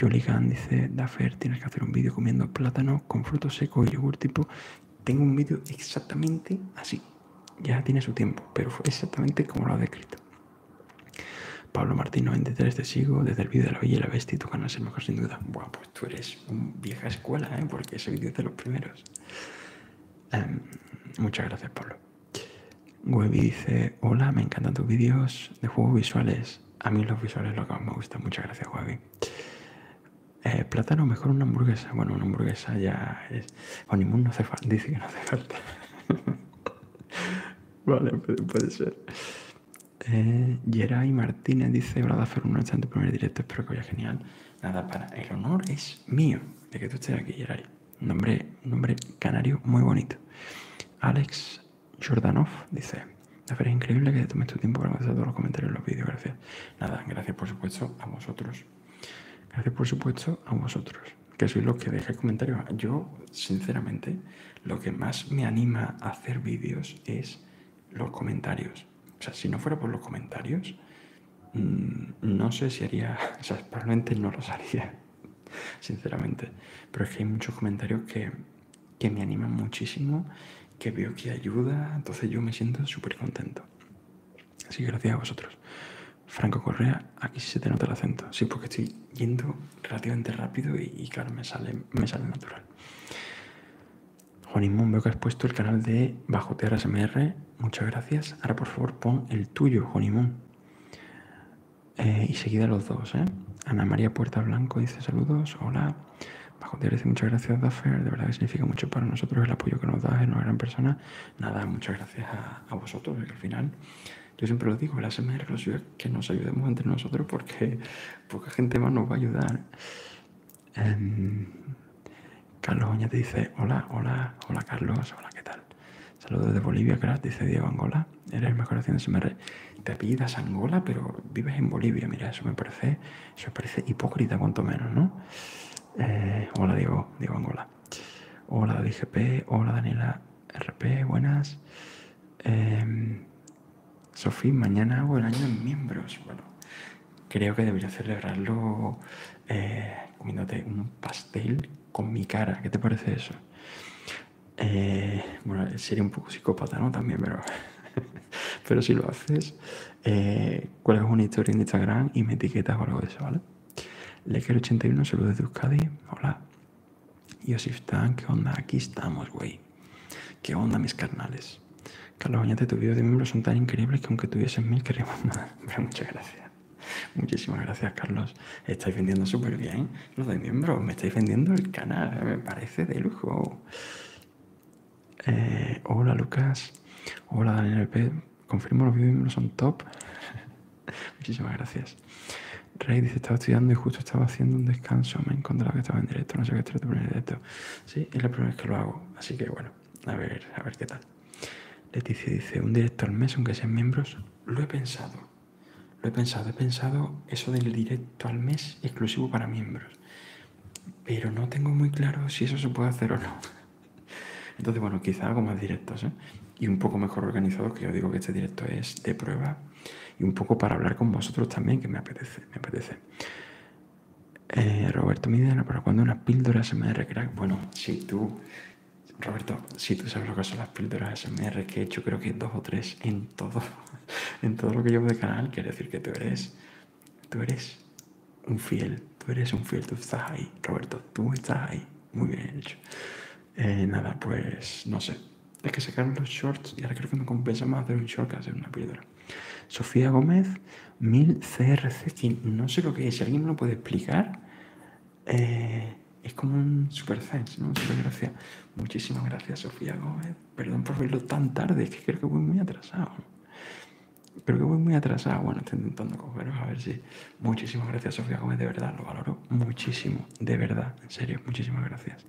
Jolly dice, Dafer, tienes que hacer un vídeo comiendo plátano con frutos secos y yogur tipo. Tengo un vídeo exactamente así. Ya tiene su tiempo, pero fue exactamente como lo ha descrito. Pablo Martín 23 te sigo desde el vídeo de la Bella y la Bestia y tu canal es el mejor sin duda. bueno pues tú eres vieja escuela, ¿eh? porque ese vídeo es de los primeros. Em, muchas gracias, Pablo. Webby dice, hola, me encantan tus vídeos de juegos visuales a mí los visuales lo que más me gusta. Muchas gracias, Javi. Eh, plátano, mejor una hamburguesa. Bueno, una hamburguesa ya es. O ningún no hace falta. Dice que no hace falta. <laughs> vale, puede, ser. Eh, Martínez dice: una noche un tu primer directo. Espero que vaya genial. Nada, para. El honor es mío de que tú estés aquí, Geray. nombre, un nombre canario muy bonito. Alex Jordanov dice, es increíble que te tomes tu tiempo para hacer todos los comentarios en los vídeos, gracias. Nada, gracias por supuesto a vosotros. Gracias por supuesto a vosotros, que sois los que deje comentarios. Yo, sinceramente, lo que más me anima a hacer vídeos es los comentarios. O sea, si no fuera por los comentarios, mm, no sé si haría, <laughs> o sea, probablemente no los haría, sinceramente. Pero es que hay muchos comentarios que que me anima muchísimo, que veo que ayuda, entonces yo me siento súper contento. Así que gracias a vosotros. Franco Correa, aquí se te nota el acento. Sí, porque estoy yendo relativamente rápido y, claro, me sale, me sale natural. mundo veo que has puesto el canal de Bajotear SMR. Muchas gracias. Ahora, por favor, pon el tuyo, Juanimón. Eh, y seguida los dos, ¿eh? Ana María Puerta Blanco dice saludos, hola. Bajo te dice muchas gracias, Daffer. De verdad que significa mucho para nosotros el apoyo que nos das, en una gran persona. Nada, muchas gracias a, vosotros, al final, yo siempre lo digo, el ASMR que nos ayudemos entre nosotros porque poca gente más nos va a ayudar. Em, Carlos Oña te dice, hola, hola, hola Carlos, hola, ¿qué tal? Saludos de Bolivia, gratis dice Diego Angola eres mejor haciendo Te pidas Angola, pero vives en Bolivia. Mira, eso me parece, eso parece hipócrita, cuanto menos, ¿no? Eh, hola, Diego, Diego Angola. Hola, DGP. Hola, Daniela RP. Buenas. Em, Sofía, mañana hago el año miembros. Bueno, creo que debería celebrarlo eh, comiéndote un pastel con mi cara. ¿Qué te parece eso? Eh, bueno, sería un poco psicópata, ¿no? También, pero, <laughs> pero si lo haces, eh, ¿cuál es una historia en Instagram y me etiquetas o algo de eso, ¿vale? Leker81, saludos desde Euskadi, hola. Yosif Tan, ¿qué onda? Aquí estamos, güey. ¿Qué onda, mis carnales? Carlos Oñate, tus vídeos de miembros son tan increíbles que aunque tuviesen mil, queremos nada. <laughs> muchas gracias. Muchísimas gracias, Carlos. Estáis vendiendo súper bien no doy miembro, me estáis vendiendo el canal, me parece de lujo. Eh, hola Lucas, hola Daniel P. Confirmo los miembros son top. <laughs> Muchísimas gracias. Rey dice, estaba estudiando y justo estaba haciendo un descanso, me encontrado que estaba en directo, no sé qué estoy en directo. Sí, es la primera vez que lo hago, así que bueno, a ver, a ver qué tal. Leticia dice, un directo al mes, aunque sean miembros, lo he pensado. Lo he pensado, he pensado eso del directo al mes exclusivo para miembros. Pero no tengo muy claro si eso se puede hacer o no. <laughs> Entonces, bueno, quizá hago más directos ¿eh? y un poco mejor organizados, que yo digo que este directo es de prueba y un poco para hablar con vosotros también, que me apetece, me apetece. Eh, Roberto Midena, ¿para cuando una píldora SMR Bueno, si tú, Roberto, si tú sabes lo que son las píldoras SMR, que he hecho creo que dos o tres en todo <laughs> en todo lo que llevo de canal, quiere decir que tú eres, tú eres un fiel, tú eres un fiel, tú estás ahí, Roberto, tú estás ahí, muy bien hecho. Eh, nada, pues no sé, es que sacaron los shorts y ahora creo que me compensa más hacer un short que hacer una píldora. Sofía Gómez, 1000 CRC, no sé lo que es, si alguien me lo puede explicar, eh, es como un super sense, ¿no? gracias. Muchísimas gracias, Sofía Gómez, Perdón por verlo tan tarde, es que creo que voy muy atrasado. Creo que voy muy atrasado. Bueno, estoy intentando cogeros a ver si. Muchísimas gracias, Sofía Gómez, de verdad, lo valoro muchísimo, de verdad, en serio, muchísimas gracias.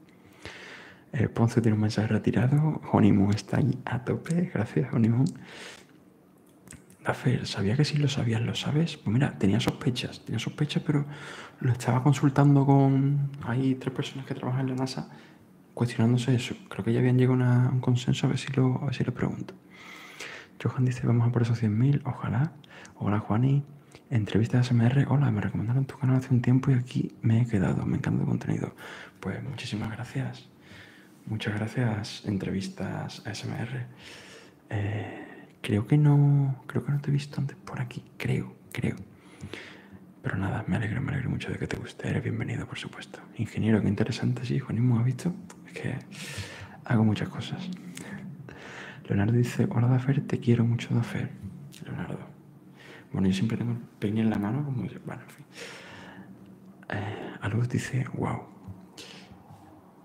Eh, Ponce tiene un mensaje retirado. Honeymoon está ahí a tope. Gracias, Honeymoon. Rafael, sabía que si lo sabías, lo sabes. Pues mira, tenía sospechas, tenía sospechas, pero lo estaba consultando con. Hay tres personas que trabajan en la NASA cuestionándose eso. Creo que ya habían llegado a un consenso, a ver si lo, pregunto. Johan dice, vamos a por esos 100.000, ojalá. Hola Juani, entrevista a SMR, hola, me recomendaron tu canal hace un tiempo y aquí me he quedado, me encanta el contenido. Pues muchísimas gracias. Muchas gracias, entrevistas a SMR. Eh, creo que no. Creo que no te he visto antes por aquí. Creo, creo. Pero nada, me alegro, me alegro mucho de que te guste. Eres bienvenido, por supuesto. Ingeniero, qué interesante, sí, Juanismo, ha visto? Es que hago muchas cosas. Leonardo dice, hola Dafer, te quiero mucho Dafer. Leonardo. Bueno, yo siempre tengo el en la mano, como... Bueno, en fin. Eh, dice, wow.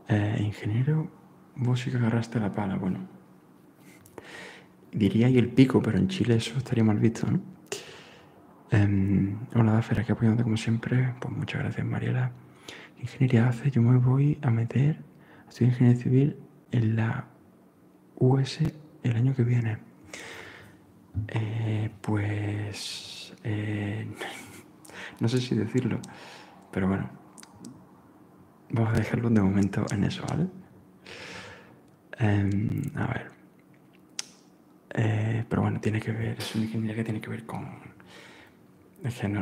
Eh, ingeniero, vos sí que agarraste la pala. Bueno, Diría y el pico, pero en Chile eso estaría mal visto, ¿no? Em, hola, Dafera, que apoyándote como siempre. Pues muchas gracias, Mariela. ¿Qué ingeniería hace? Yo me voy a meter, estudiar ingeniería civil en la US el año que viene. Eh, pues eh, <laughs> no sé si decirlo, pero bueno, vamos a dejarlo de momento en eso, ¿vale? Em, a ver. Eh, pero bueno, tiene que ver, es que tiene que ver con...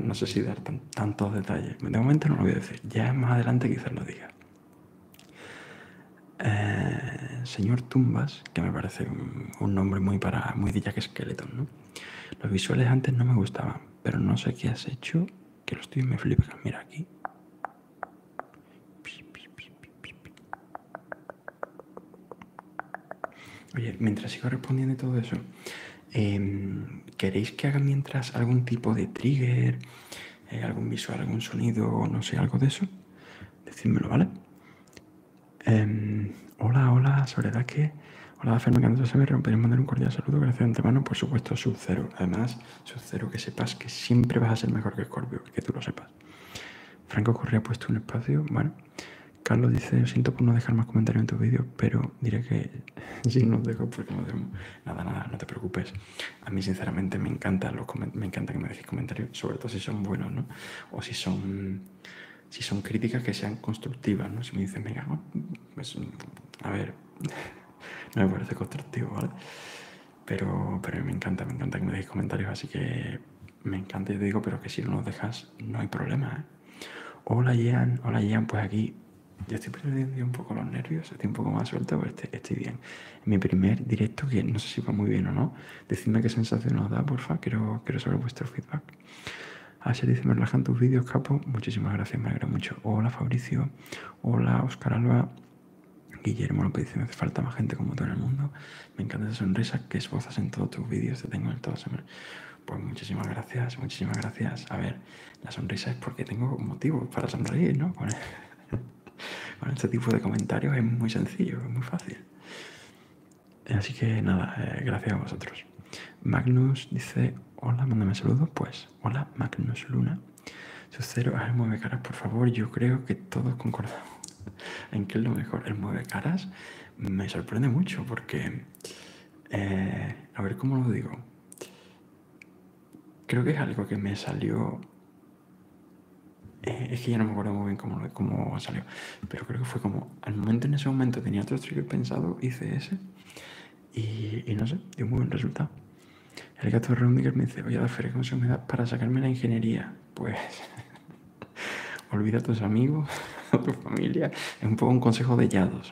no, sé si dar tantos detalles. De momento no lo voy a decir. Ya más adelante quizás lo diga. Eh, señor Tumbas, que me parece un, nombre muy para muy de Jack Skeleton, ¿no? Los visuales antes no me gustaban, pero no sé qué has hecho, que los tuyos me flipan. Mira aquí. Oye, mientras sigo respondiendo todo eso, em, ¿queréis que haga mientras algún tipo de trigger, eh, algún visual, algún sonido, no sé, algo de eso? Decídmelo, ¿vale? Em, hola, hola, hola, Soledad, que... Hola, Fernando, se me rompería mandar un cordial saludo, gracias de antemano, por supuesto, sub cero. Además, yo espero que sepas que siempre vas a ser mejor que Scorpio, que tú lo sepas. Franco Correa ha puesto un espacio, bueno. Carlos dice, siento por no dejar más comentarios en tus vídeos, pero diré que sí <laughs> no dejo porque no tengo Nada, nada, no te preocupes. A mí sinceramente me encanta, me encanta que me decís comentarios, sobre todo si son buenos, ¿no? O si son, si son críticas que sean constructivas, ¿no? Si me dicen, venga, pues, a ver, <laughs> no me parece constructivo, ¿vale? Pero, pero me encanta, me encanta que me deis comentarios, así que me encanta y te digo, pero que si no los dejas no hay problema. ¿eh? Hola Jean, hola Jean, pues aquí ya estoy perdiendo un poco los nervios, estoy un poco más suelto, pero este, estoy, bien. mi primer directo, que no sé si va muy bien o no, decidme qué sensación os da, porfa, quiero, quiero saber vuestro feedback. Asher dice, me relajan tus vídeos, capo. Muchísimas gracias, me alegra mucho. Hola Fabricio, hola Oscar Alba, Guillermo López dice, me hace falta más gente como tú en el mundo. Me encanta esa sonrisa que esbozas en todos tus vídeos, te tengo en todas semanas. Pues muchísimas gracias, muchísimas gracias. A ver, la sonrisa es porque tengo motivos para sonreír, ¿no? <laughs> Con, este tipo de comentarios es muy sencillo, es muy fácil. Así que nada, eh, gracias a vosotros. Magnus dice, hola, mándame saludos. Pues, hola, Magnus Luna. Su cero, el mueve caras, por favor, yo creo que todos concordamos <laughs> en que es lo mejor. El mueve caras me sorprende mucho porque, eh, a ver cómo lo digo, creo que es algo que me salió, eh, es que ya no me acuerdo muy bien cómo, salió, pero creo que fue como, al momento en ese momento tenía otro trigger pensado, hice ese y, no sé, dio un muy buen resultado. El gato de me dice, voy a la feria para sacarme la ingeniería. Pues <laughs> olvida a tus amigos, <laughs> a tu familia. Es un poco un consejo de llados.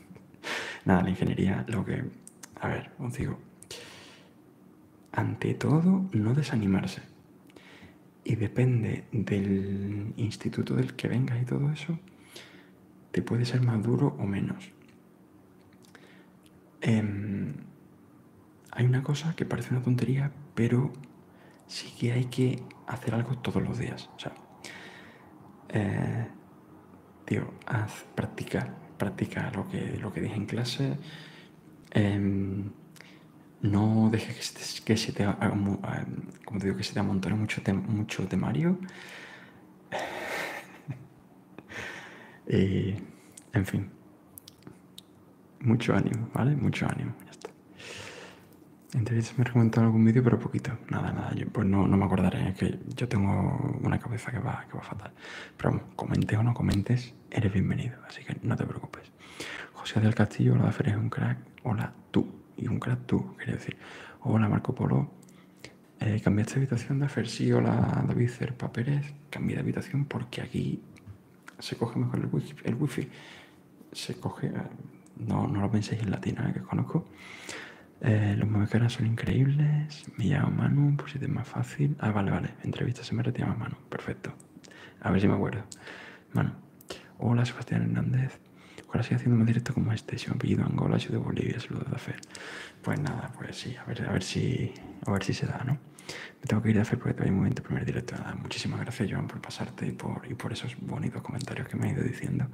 <laughs> Nada, la ingeniería, lo que... A ver, os digo. Ante todo, no desanimarse. Y depende del instituto del que vengas y todo eso, te puede ser más duro o menos. Em, hay una cosa que parece una tontería, pero sí que hay que hacer algo todos los días. O sea, eh, tío, practica, practica lo que, lo que dije en clase. Em, no dejes que se te, como amontone mucho, mucho temario. <laughs> en fin, mucho ánimo, ¿vale? Mucho ánimo, ya está. Entonces me has comentado algún vídeo, pero poquito. Nada, nada, pues no, me acordaré, es que yo tengo una cabeza que va, que va fatal. Pero vamos, comente o no comentes, eres bienvenido, así que no te preocupes. José del Castillo, hola Fer, es un crack, hola tú, y un crack tú, quería decir. Hola Marco Polo, eh, ¿cambiaste habitación de Fer? Sí, hola David Cerpa cambio de habitación porque aquí se coge mejor el wifi. El wifi se coge, ah, no, no lo penséis en latina, que conozco. Eh, los movecaras son increíbles. Me llamo Manu, por si te es más fácil. Ah, vale, vale. Entrevista se me retira más Manu. Perfecto. A ver si me acuerdo. Manu. Hola, Sebastián Hernández. Ahora sigo haciendo más directo como este. Si me apellido Angola, soy de Bolivia. Saludos de Fe Pues nada, pues sí. A ver, a ver si, a ver si se da, ¿no? Me tengo que ir a hacer porque todavía un momento primer directo. Nada, muchísimas gracias, Joan, por pasarte y por, esos bonitos comentarios que me ha ido diciendo.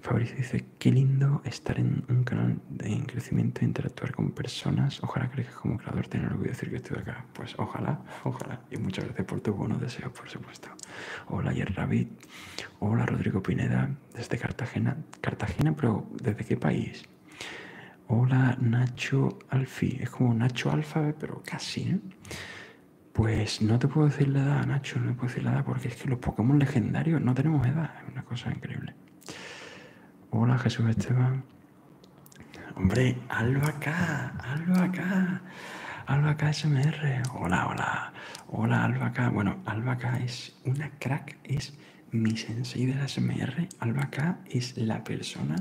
Fabricio dice, qué lindo estar en un canal de en crecimiento e interactuar con personas. Ojalá creas como creador tener algo que decir que estoy acá. Pues ojalá, ojalá. Y muchas gracias por tus buenos deseos, por supuesto. Hola, Yer Hola, Rodrigo Pineda, desde Cartagena. Cartagena, pero ¿desde qué país? Hola Nacho Alfi, es como Nacho Alfa, pero casi, ¿eh? Pues no te puedo decir la edad, Nacho, no te puedo decir la edad, porque es que los Pokémon legendarios no tenemos edad, es una cosa increíble. Hola Jesús Esteban. Hombre, Alba K, Alba acá, Alba acá SMR. Hola, hola, hola Alba acá, Bueno, Alba K es una crack, es mi sensei de la SMR, K, es la persona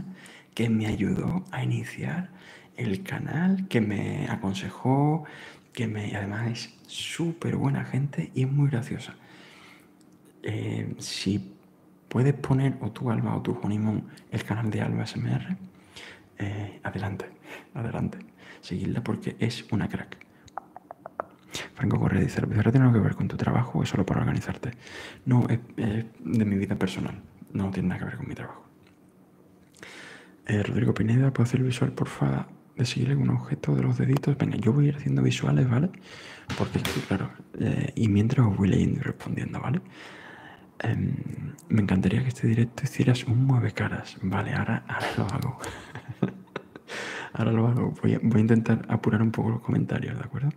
que me ayudó a iniciar el canal, que me aconsejó, que me, además es súper buena gente y es muy graciosa. Eh, si puedes poner o tú, Alba, o tú, Honeymoon, el canal de Alba SMR, eh, adelante, adelante. seguirla porque es una crack. Franco Correa dice, No tiene algo que ver con tu trabajo es solo para organizarte? No, es, de mi vida personal, no tiene nada que ver con mi trabajo. Eh, Rodrigo Pineda, ¿puedo hacer el visual, porfa, de seguir algún objeto de los deditos? Venga, yo voy a ir haciendo visuales, ¿vale? Porque, claro, eh, y mientras os voy leyendo y respondiendo, ¿vale? Em, me encantaría que este directo hicieras un mueve caras, ¿vale? ahora lo hago. <laughs> Ahora lo hago. Voy a, intentar apurar un poco los comentarios, ¿de acuerdo?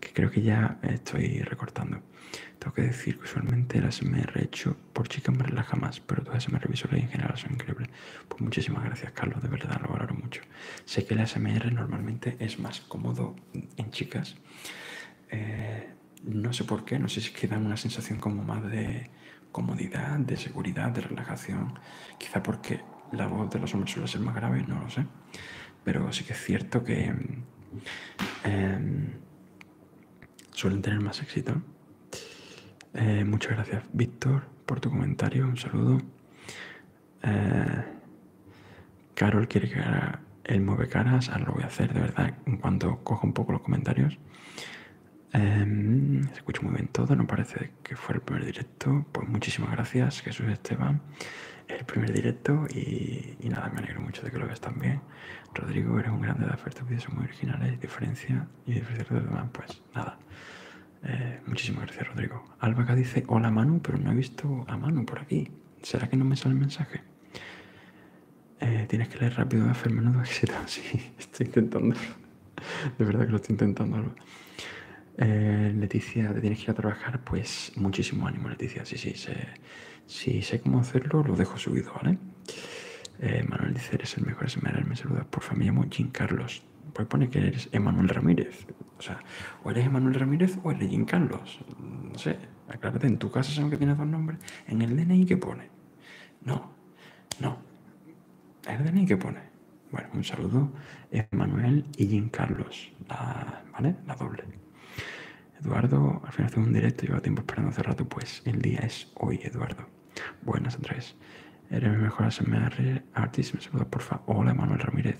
Que creo que ya estoy recortando. Tengo que decir que usualmente el SMR hecho por chicas me relaja más, pero todas las visuales en general son increíbles. Pues muchísimas gracias, Carlos, de verdad lo valoro mucho. Sé que el SMR normalmente es más cómodo en chicas. Eh, no sé por qué, no sé si es que dan una sensación como más de comodidad, de seguridad, de relajación. Quizá porque la voz de los hombres suele ser más grave, no lo sé. Pero sí que es cierto que em, suelen tener más éxito. Eh, muchas gracias, Víctor, por tu comentario. Un saludo. Eh, Carol quiere que haga el mueve caras. Ahora lo voy a hacer, de verdad, en cuanto coja un poco los comentarios. Em, se escucha muy bien todo, no parece que fue el primer directo. Pues muchísimas gracias, Jesús Esteban, el primer directo. Y, nada, me alegro mucho de que lo veas también. Rodrigo, eres un grande de tus vídeos muy originales, diferencia y diferencia de demás. Pues nada, eh, muchísimas gracias, Rodrigo. Alba que dice: Hola Manu, pero no he visto a Manu por aquí. ¿Será que no me sale el mensaje? Eh, tienes que leer rápido, hacer menudo éxito. Sí, estoy intentando. De verdad que lo estoy intentando, Alba. Eh, Leticia, te tienes que ir a trabajar, pues muchísimo ánimo, Leticia. Sí, sí, sé, sí, sé cómo hacerlo, lo dejo subido, ¿vale? Eh, Manuel dice, eres el mejor SMR, me saludas, porfa, me llamo Jim Carlos. Pues pone que eres Emanuel Ramírez. O sea, o eres Emanuel Ramírez o eres Jim Carlos. No sé, aclárate, en tu casa saben que tienes dos nombres. En el DNI qué pone. No, no. en El DNI qué pone. Bueno, un saludo, Emanuel y Jim Carlos, la, doble. Eduardo, al final hacemos un directo, llevo tiempo esperando hace rato, pues el día es hoy, Eduardo. Buenas, Andrés. Eres mi mejor ASMR me por porfa. Hola, Manuel Ramírez,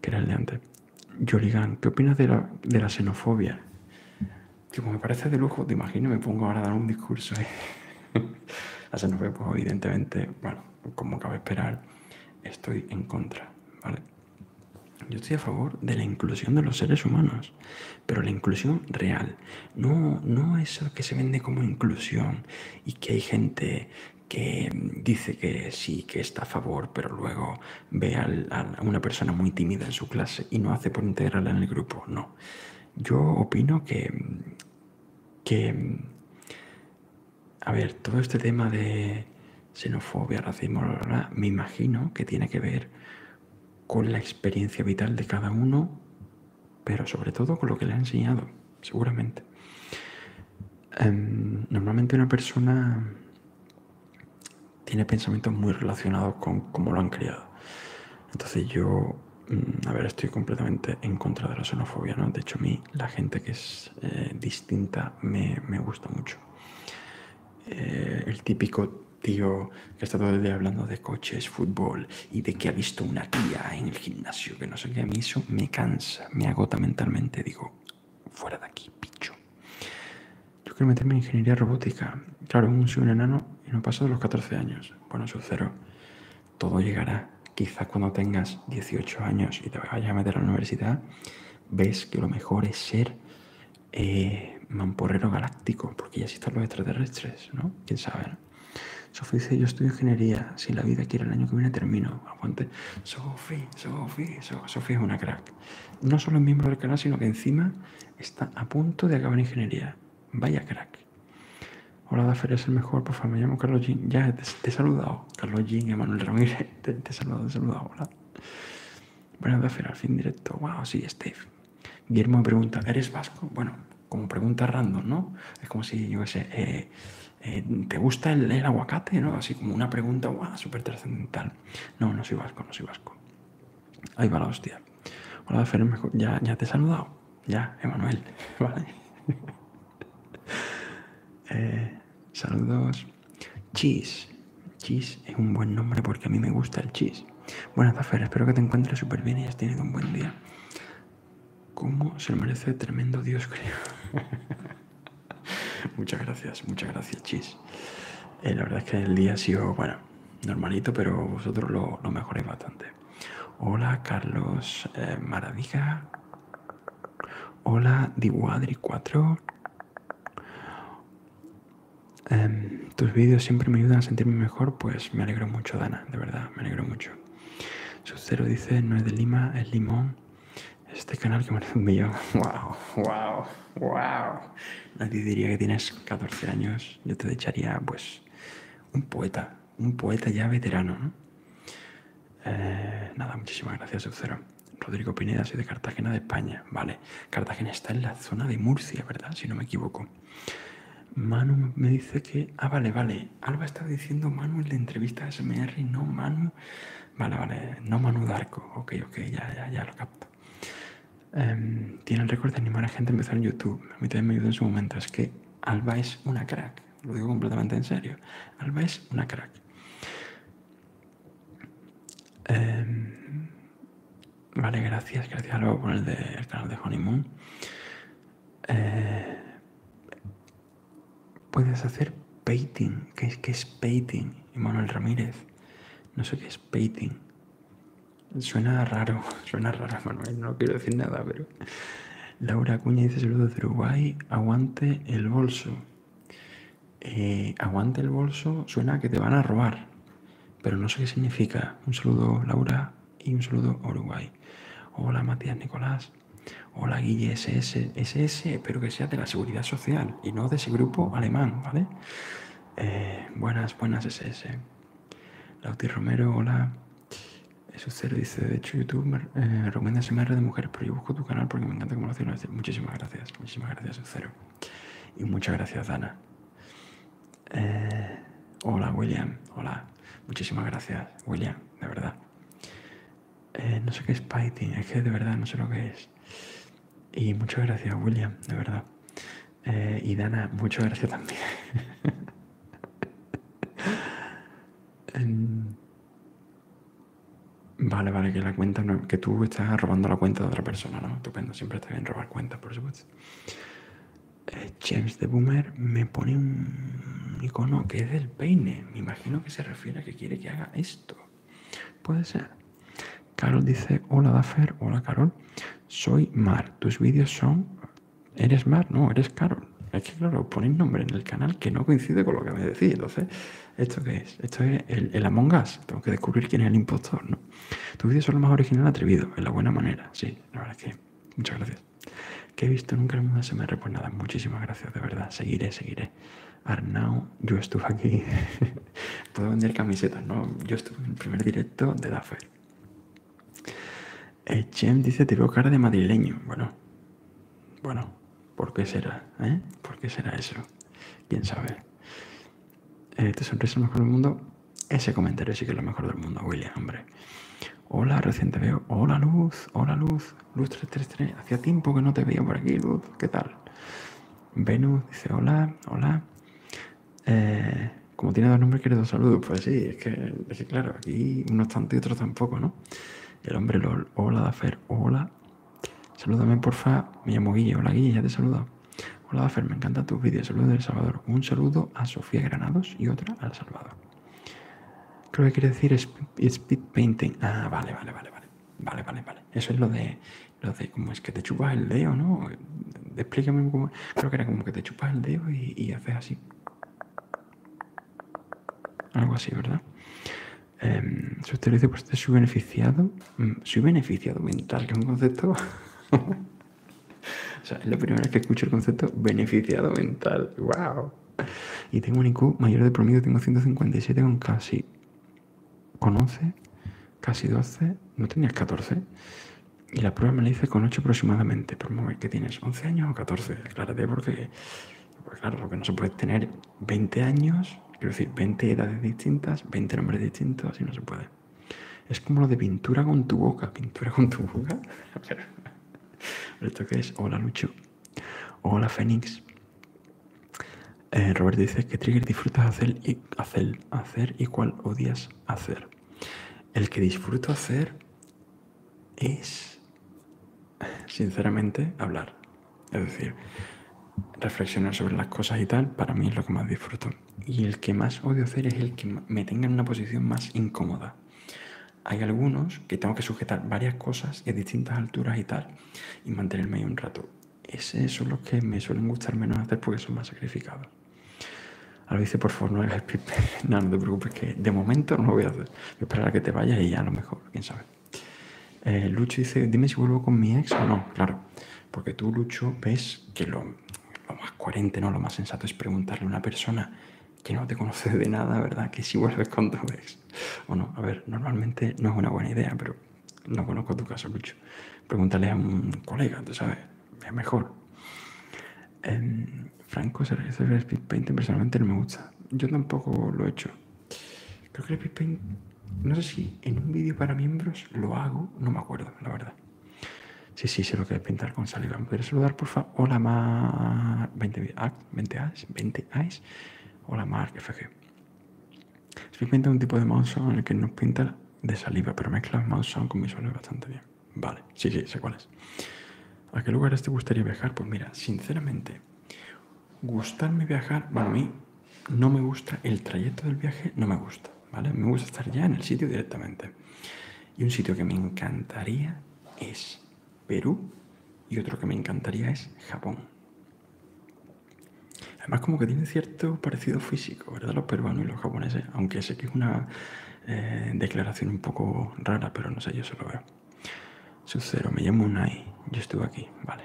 que era el de antes. Yoligan, ¿qué opinas de la, xenofobia? Que como me parece de lujo, te imagino, me pongo ahora a dar un discurso. ¿eh? ahí. <laughs> la xenofobia, pues, evidentemente, bueno, como cabe esperar, estoy en contra, Yo estoy a favor de la inclusión de los seres humanos, pero la inclusión real, no, no eso que se vende como inclusión y que hay gente que dice que sí, que está a favor, pero luego ve a una persona muy tímida en su clase y no hace por integrarla en el grupo. No. Yo opino que, que a ver, todo este tema de xenofobia, racismo, me imagino que tiene que ver con la experiencia vital de cada uno, pero sobre todo con lo que le ha enseñado, seguramente. Em, normalmente una persona tiene pensamientos muy relacionados con cómo lo han criado. Entonces yo, mm, a ver, estoy completamente en contra de la xenofobia, ¿no? De hecho, mí la gente que es eh, distinta me, me, gusta mucho. Eh, el típico tío que está todo el día hablando de coches, fútbol y de que ha visto una tía en el gimnasio, que no sé qué, a mí me cansa, me agota mentalmente, digo, fuera de aquí, picho. Yo quiero meterme en ingeniería robótica. Claro, soy un enano y no paso de los 14 años. Bueno, soy cero todo llegará. Quizás cuando tengas 18 años y te vayas a meter a la universidad, ves que lo mejor es ser eh, mamporero galáctico, porque ya existen los extraterrestres, ¿no? ¿Quién sabe? Sofía Sofi dice, yo estudio ingeniería, si la vida quiere el año que viene termino. Aguante. Sofi, Sofi, Sofi es una crack. No solo es miembro del canal, sino que encima está a punto de acabar ingeniería. Vaya crack. Hola, daferia es el mejor, por favor, me llamo Carlos Jean. Ya, te he saludado. Carlos Jim, Emanuel Ramírez, <laughs> te, saludo, te saludo, hola. Bueno, hacer al fin directo, wow, sí, Steve. Guillermo me pregunta, ¿eres vasco? Bueno, como pregunta random, ¿no? Es como si, yo ese eh, eh, ¿te gusta el, aguacate? ¿no? Así como una pregunta, wow, súper trascendental. No, no soy vasco, no soy vasco. Ahí va la hostia. Hola, ya, ya te he saludado. Ya, Emanuel, <laughs> ¿vale? Eh, saludos. Cheese. Cheese es un buen nombre porque a mí me gusta el cheese. Buenas, tardes, espero que te encuentres súper bien y has tenido un buen día. ¿Cómo se lo merece tremendo Dios, creo? <laughs> muchas gracias, muchas gracias, Cheese eh, la verdad es que el día ha sido, bueno, normalito, pero vosotros lo, lo mejoráis bastante. Hola, Carlos eh, Maravilla. Hola, Diwadri 4. Em, tus vídeos siempre me ayudan a sentirme mejor, pues me alegro mucho, Dana, de verdad, me alegro mucho. cero dice, no es de Lima, es Limón. Este canal que merece un millón. ¡Wow! ¡Wow! ¡Wow! Nadie diría que tienes 14 años. Yo te echaría, pues, un poeta. Un poeta ya veterano, eh, nada, muchísimas gracias, Eucero. Rodrigo Pineda, soy de Cartagena de España. Vale, Cartagena está en la zona de Murcia, ¿verdad? Si no me equivoco. Manu me dice que... Ah, vale, vale. Alba estaba diciendo Manu en la entrevista de SMR, no Manu. Vale, vale, no Manu Darko. Ok, ok, ya, ya, lo capto. Em, tiene el récord de animar a gente a empezar en YouTube. A mí también me ayudó en su momento. Es que Alba es una crack lo digo completamente en serio. Alba es una crack. Em, vale, gracias, gracias Alba por el, de, canal de Honeymoon. Eh, puedes hacer painting. ¿Qué es, que es painting? Emanuel Ramírez. No sé qué es painting. Suena raro, <laughs> suena raro, Manuel. No quiero decir nada, pero. Laura Cuña dice saludos de Uruguay. Aguante el bolso. Eh, aguante el bolso, suena que te van a robar, pero no sé qué significa. Un saludo Laura y un saludo Uruguay. Hola Matías Nicolás, hola Guille SS, SS, espero que sea de la seguridad social y no de ese grupo alemán, ¿vale? Eh, buenas, buenas SS. Lauti Romero, hola. Sucero dice, de hecho YouTube Romero eh, de mujer pero yo busco tu canal porque me encanta cómo lo haces. Muchísimas gracias, muchísimas gracias, sincero. Y muchas gracias, Dana. Eh, hola, William, hola. Muchísimas gracias, William, de verdad. Eh, no sé qué es Python, es que de verdad no sé lo que es. Y muchas gracias, William, de verdad. Eh, y Dana, muchas gracias también. <laughs> Vale, vale, que la cuenta que tú estás robando la cuenta de otra persona, ¿no? Estupendo, siempre está bien robar cuentas, por supuesto. Eh, James de Boomer me pone un icono que es del peine. Me imagino que se refiere a que quiere que haga esto. Puede ser. Carol dice, hola Daffer, hola Carol, soy Mar, tus vídeos son... ¿Eres Mar? No, eres Carol. Es que claro, ponéis nombre en el canal que no coincide con lo que me decís, entonces ¿Esto qué es? Esto es el, Among Us. Tengo que descubrir quién es el impostor, ¿no? Tus vídeos lo más original atrevido, en la buena manera. Sí, la verdad es que. Muchas gracias. ¿Qué he visto nunca en el mundo se me Pues nada, muchísimas gracias, de verdad. Seguiré, seguiré. Arnau, yo estuve aquí. <laughs> Puedo vender camisetas, ¿no? Yo estuve en el primer directo de el Echem dice: Te veo cara de madrileño. Bueno, bueno, ¿por qué será? Eh? ¿Por qué será eso? ¿Quién sabe? Este ¿Te sonrisa lo mejor del mundo? Ese comentario sí que es lo mejor del mundo, William, hombre. Hola, reciente te veo. Hola, Luz. Hola, Luz. Luz 333. Hacía tiempo que no te veía por aquí, Luz. ¿Qué tal? Venus dice hola, hola. Eh, como tiene dos nombres, quiere dos saludos. Pues sí, es que, claro, aquí unos tanto y otros tampoco, ¿no? El hombre LOL, hola, Dafer, hola. Saludame porfa. Me llamo Guille. Hola, Guille, ya te saludo. Hola, Fer, me encanta tus vídeos. Saludos del Salvador. Un saludo a Sofía Granados y otra al Salvador. Creo que quiere decir speed painting. Ah, vale, vale, vale, vale. Vale, vale, vale. Eso es lo de, como cómo es que te chupas el dedo, ¿no? Explícame cómo. Creo que era como que te chupas el dedo y haces así. Algo así, ¿verdad? eh, dice, pues por beneficiado, subbeneficiado, mm, subbeneficiado mental, que es un concepto... <laughs> o sea, es la primera vez que escucho el concepto beneficiado mental. ¡Wow! Y tengo un IQ mayor de promedio, tengo 157 con casi... con 11, casi 12, no tenías 14. Y la prueba me la hice con 8 aproximadamente. Pero que tienes 11 años o 14, aclárate porque... claro, lo que no se puede tener 20 años, quiero decir, 20 edades distintas, 20 nombres distintos Así no se puede. Es como lo de pintura con tu boca, pintura con tu boca. <laughs> ¿Esto qué es? Hola Lucho. Hola Fénix. Roberto eh, Robert dice que Trigger disfrutas hacer y hacer, hacer y cuál odias hacer. El que disfruto hacer es sinceramente, hablar. Es decir, reflexionar sobre las cosas y tal, para mí es lo que más disfruto. Y el que más odio hacer es el que me tenga en una posición más incómoda. Hay algunos que tengo que sujetar varias cosas en distintas alturas y tal, y mantenerme ahí un rato. esos son los que me suelen gustar menos hacer porque son más sacrificados. lo dice, por favor, no hagas el <laughs> No, no te preocupes, que de momento no lo voy a hacer. esperar a que te vayas y ya a lo mejor, quién sabe. Eh, Lucho dice, dime si vuelvo con mi ex o no. Claro, porque tú, Lucho, ves que lo, más coherente, Lo más sensato es preguntarle a una persona que no te conoce de nada, ¿verdad? Que si vuelves con tu ex o no. A ver, normalmente no es una buena idea, pero no conozco tu caso, Lucho. Pregúntale a un colega, tú sabes, es mejor. Em, Franco se regresa el Speed Painting, personalmente no me gusta. Yo tampoco lo he hecho. Creo que no sé si en un vídeo para miembros lo hago, no me acuerdo, la verdad. Sí, sí, se lo que pintar con saliva. ¿Me saludar, porfa? Hola, Mar. 20 20 20 eyes 20 AIS. Hola, Mar, FG. simplemente un tipo de mouse en el que nos pinta de saliva, pero mezcla son con visuales bastante bien. Vale, sí, sí, sé cuál es. ¿A qué lugares te gustaría viajar? Pues mira, sinceramente, Gustarme viajar, bueno, a mí no me gusta, el trayecto del viaje no me gusta, ¿vale? Me gusta estar ya en el sitio directamente. Y un sitio que me encantaría es Perú y otro que me encantaría es Japón. Además, como que tiene cierto parecido físico, ¿verdad? Los peruanos y los japoneses, aunque sé que es una eh, declaración un poco rara, pero no sé, yo se lo veo. Sucero, me llamo Unai. Yo estuve aquí, vale.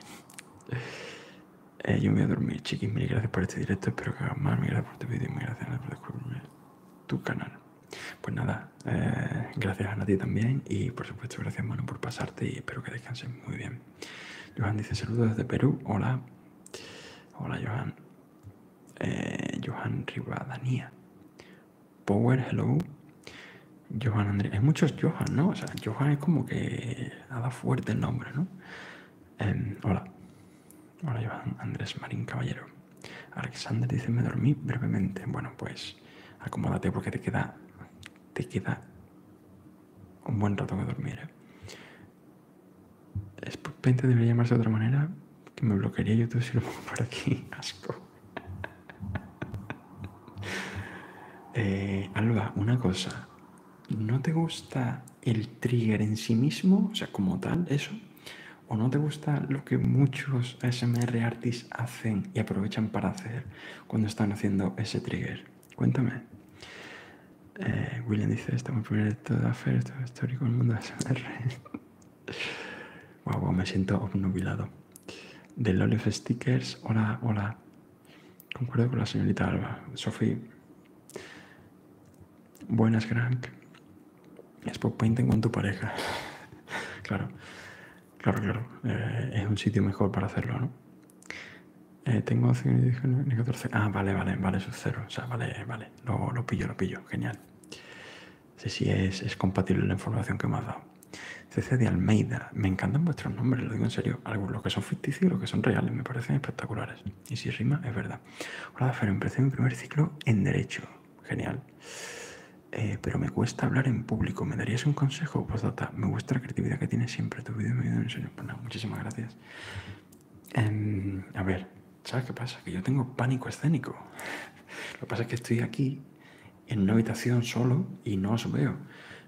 Eh, yo me voy a dormir, chiquis. Mil gracias por este directo. Espero que hagas más. Mil gracias por tu vídeo y mil gracias por descubrirme tu canal. Pues nada, eh, gracias a ti también. Y por supuesto, gracias, mano por pasarte. Y espero que descanses muy bien. Johan dice: Saludos desde Perú. Hola. Hola, Johan. Eh, Johan Ribadania, Power, hello. Johan Andrés. Hay muchos Johan, ¿no? O sea, Johan es como que ha fuerte el nombre, ¿no? Em, hola. Hola, Johan Andrés Marín Caballero. Alexander dice, me dormí brevemente. Bueno, pues acomódate porque te queda, te queda un buen rato que dormir. ¿eh? debería llamarse de otra manera, que me bloquearía YouTube si lo pongo por aquí. <laughs> Asco. <laughs> Eh, Alba, una cosa. ¿No te gusta el trigger en sí mismo? O sea, como tal, eso. ¿O no te gusta lo que muchos ASMR artists hacen y aprovechan para hacer cuando están haciendo ese trigger? Cuéntame. Eh, William dice, estamos primero de todo hacer esto histórico el mundo de ASMR. <laughs> Guau, me siento obnubilado. Del Lolif Stickers, hola, hola. Concuerdo con la señorita Alba. Sophie. Buenas, Es por Painting con tu pareja. <laughs> claro, claro, claro. Eh, es un sitio mejor para hacerlo, ¿no? Eh, tengo 14. Ah, vale, vale, vale, sub cero. O sea, vale, vale. Lo, lo pillo, lo pillo. Genial. Sí, si es, es compatible la información que me has dado. CC de Almeida, me encantan vuestros nombres, lo digo en serio. Algunos, que son ficticios y los que son reales, me parecen espectaculares. Y si rima, es verdad. Hola, Fer, empecé mi primer ciclo en Derecho. Genial. Eh, pero me cuesta hablar en público. ¿Me darías un consejo? Pues me gusta la creatividad que tienes siempre. Tu vídeo me ayuda en serio. Pues muchísimas gracias. Em, a ver, ¿sabes qué pasa? Que yo tengo pánico escénico. <laughs> Lo que pasa es que estoy aquí en una habitación solo y no os veo.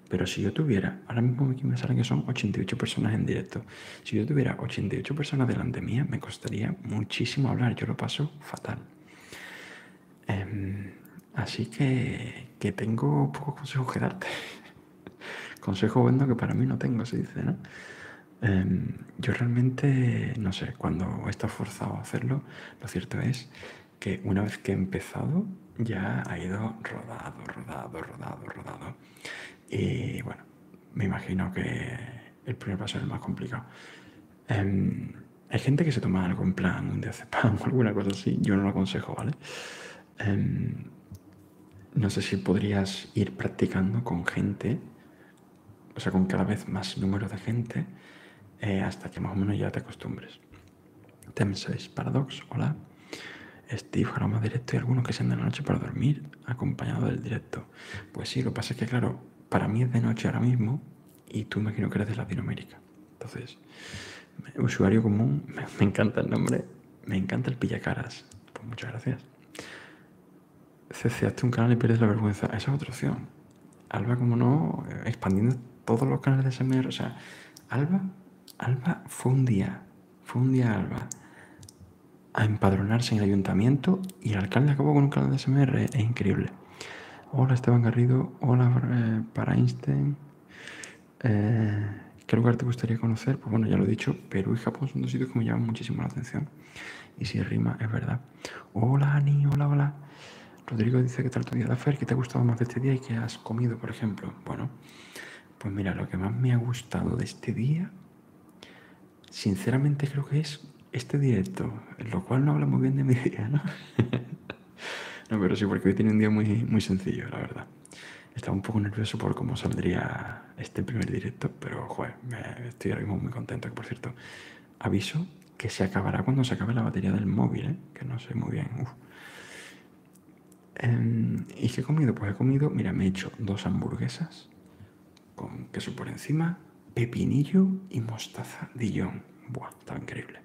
Pero si yo tuviera, ahora mismo aquí me salen que son 88 personas en directo, si yo tuviera 88 personas delante mía, me costaría muchísimo hablar, yo lo paso fatal. Em, así que, tengo pocos consejos que darte. <laughs> Consejo bueno que para mí no tengo, se dice, ¿no? Em, yo realmente, no sé, cuando estás forzado a hacerlo, lo cierto es que una vez que he empezado ya ha ido rodado, rodado, rodado, rodado. Y bueno, me imagino que el primer paso es el más complicado. Em, hay gente que se toma algún plan, un pan <laughs> o alguna cosa así. Yo no lo aconsejo, ¿vale? Em, no sé si podrías ir practicando con gente, o sea, con cada vez más número de gente, eh, hasta que más o menos ya te acostumbres. Tem6 Paradox, hola. Steve, más Directo y algunos que se de la noche para dormir, acompañado del directo. Pues sí, lo que pasa es que, claro, para mí es de noche ahora mismo y tú imagino que eres de Latinoamérica. Entonces, usuario común, <laughs> me, encanta el nombre, me encanta el pillacaras. Pues muchas gracias. CC, hazte un canal y pierdes la vergüenza. Esa es otra opción. Alba, como no, eh, expandiendo todos los canales de SMR. O sea, Alba Alba fue un día, fue un día Alba a empadronarse en el ayuntamiento y el alcalde acabó con un canal de SMR, es increíble. Hola Esteban Garrido, hola eh, para Einstein. Eh, ¿Qué lugar te gustaría conocer? Pues bueno, ya lo he dicho, Perú y Japón son dos sitios que me llaman muchísimo la atención. Y si rima, es verdad. Hola Ani, hola, hola. Rodrigo dice que tal tu día de hacer que te ha gustado más de este día y que has comido, por ejemplo. Bueno, pues mira, lo que más me ha gustado de este día, sinceramente creo que es este directo, en lo cual no habla muy bien de mi <laughs> día, ¿no? <laughs> no, pero sí, porque hoy tiene un día muy, muy sencillo, la verdad. Estaba un poco nervioso por cómo saldría este primer directo, pero joder, estoy ahora muy contento. por cierto, aviso que se acabará cuando se acabe la batería del móvil, ¿eh? que no sé muy bien. Em, ¿Y qué he comido? Pues he comido, mira, me he hecho dos hamburguesas con queso por encima, pepinillo y mostaza Dijon. Buah, estaba increíble.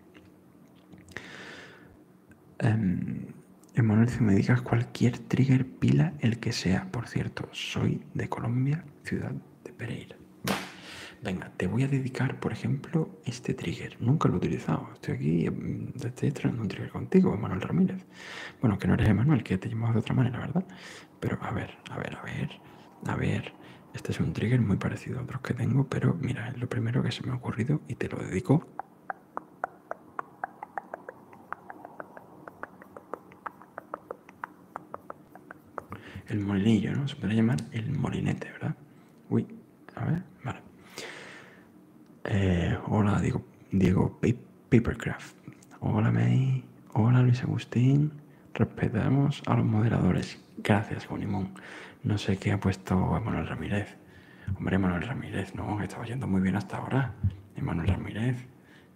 Em, Emanuel, si me digas cualquier trigger, pila, el que sea. Por cierto, soy de Colombia, ciudad de Pereira. Venga, te voy a dedicar, por ejemplo, este trigger. Nunca lo he utilizado, estoy aquí, em, estoy estrenando un trigger contigo, Manuel Ramírez. Bueno, que no eres Manuel, que te llamamos de otra manera, ¿verdad? Pero a ver, a ver, a ver, a ver. Este es un trigger muy parecido a otros que tengo, pero mira, es lo primero que se me ha ocurrido y te lo dedico. El molinillo, ¿no? Se podría llamar el molinete, ¿verdad? Uy, ver, vale. Eh, hola, Diego, Diego Papercraft. Hola, May. Hola, Luis Agustín. Respetamos a los moderadores. Gracias, Bonimón. No sé qué ha puesto Emanuel Ramírez. Hombre, Emanuel Ramírez, no, estaba yendo muy bien hasta ahora. Emanuel Ramírez.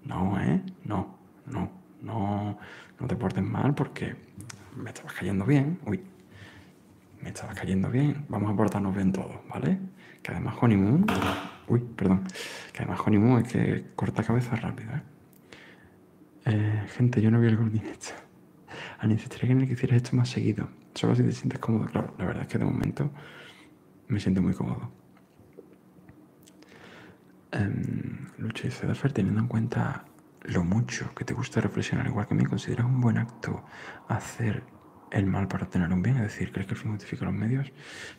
No, ¿eh? No, no, no, no te portes mal porque me estabas cayendo bien. Uy, me estaba cayendo bien. Vamos a portarnos bien todos, ¿vale? Que además Honeymoon... Uy, perdón. Que además Honeymoon es que corta cabeza rápido, ¿eh? eh gente, yo no vi el gordinete. A necesitaría que en hicieras esto más seguido. Solo si te sientes cómodo. Claro, la verdad es que de momento me siento muy cómodo. Lucha em, Lucho teniendo en cuenta lo mucho que te gusta reflexionar, igual que a mí, consideras un buen acto hacer el mal para tener un bien? Es decir, ¿crees que el fin justifica los medios?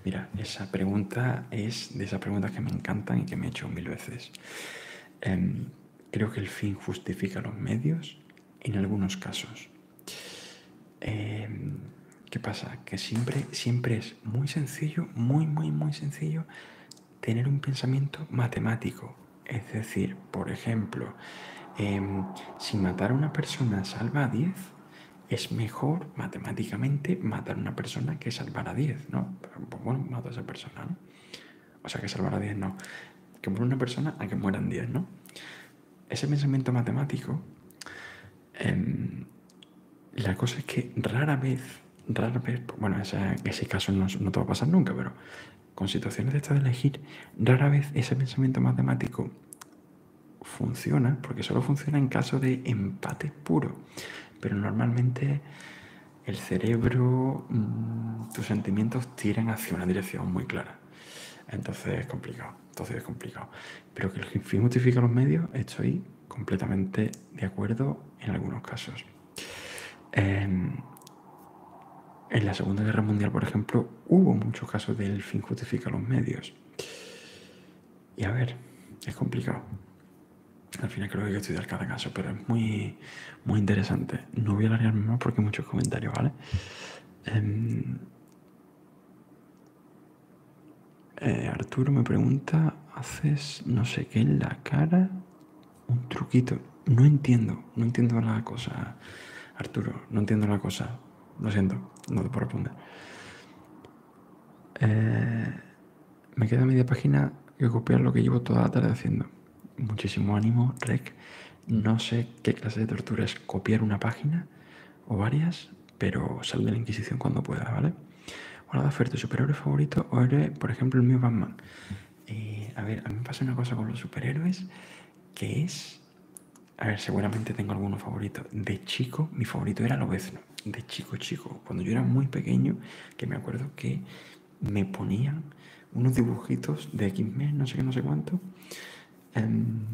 Mira, esa pregunta es de esas preguntas que me encantan y que me he hecho mil veces. Em, creo que el fin justifica los medios en algunos casos. Em, ¿Qué pasa? Que siempre es muy sencillo, muy, muy, muy sencillo tener un pensamiento matemático, es decir, por ejemplo, em, si matar a una persona salva a 10, es mejor matemáticamente matar a una persona que salvar a 10, ¿no? Pues bueno, mato a esa persona, ¿no? O sea, que salvar a 10 no. Que muera una persona a que mueran 10, ¿no? Ese pensamiento matemático, em, la cosa es que rara vez, rara vez, bueno, ese, ese caso no, no te va a pasar nunca, pero con situaciones de esta de elegir, rara vez ese pensamiento matemático funciona, porque solo funciona en caso de empate puro. Pero normalmente el cerebro, mm, tus sentimientos tiran hacia una dirección muy clara. Entonces es complicado, entonces es complicado. Pero que el fin justifica los medios, estoy completamente de acuerdo en algunos casos. Em, en la Segunda Guerra Mundial, por ejemplo, hubo muchos casos del fin justifica los medios. Y a ver, es complicado. Al final creo que hay que estudiar cada caso, pero es muy, muy interesante. No voy a alargarme más porque hay muchos comentarios, ¿vale? Em, eh, Arturo me pregunta, ¿haces no sé qué en la cara? Un truquito no entiendo, no entiendo la cosa, Arturo, no entiendo la cosa. Lo siento, no te puedo responder. Eh, me queda media página que copiar lo que llevo toda la tarde haciendo. Muchísimo ánimo, Rec. No sé qué clase de tortura es copiar una página o varias, pero sal de la Inquisición cuando pueda, ¿vale? Hola, oferta ¿tu superhéroe favorito o eres, por ejemplo, el mío Batman? Eh, a ver, a mí me pasa una cosa con los superhéroes que es a ver, seguramente tengo algunos favoritos. De chico, mi favorito era Lobezno. De chico, chico. Cuando yo era muy pequeño, que me acuerdo que me ponían unos dibujitos de X-Men, no sé qué, no sé cuánto. Em,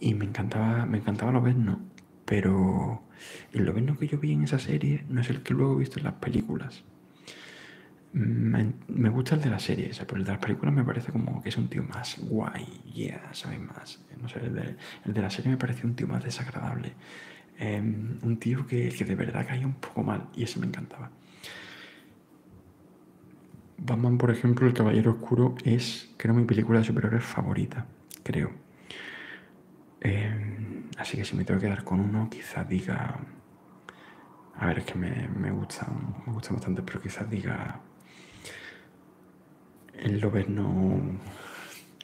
y me encantaba, me encantaba Lobezno. Pero el Lobezno que yo vi en esa serie no es el que luego he visto en las películas. Me gusta el de la serie, pero el de las películas me parece como que es un tío más guay, ya ¿sabes? Más. No sé, el de, la serie me parece un tío más desagradable. Em, un tío que, que de verdad caía un poco mal y ese me encantaba. Batman, por ejemplo, El Caballero Oscuro es, creo, mi película de superhéroes favorita, creo. Em, así que si me tengo que quedar con uno, quizá diga a ver, es que me, me, gusta, me gusta bastante, pero quizás diga. El Lobezno.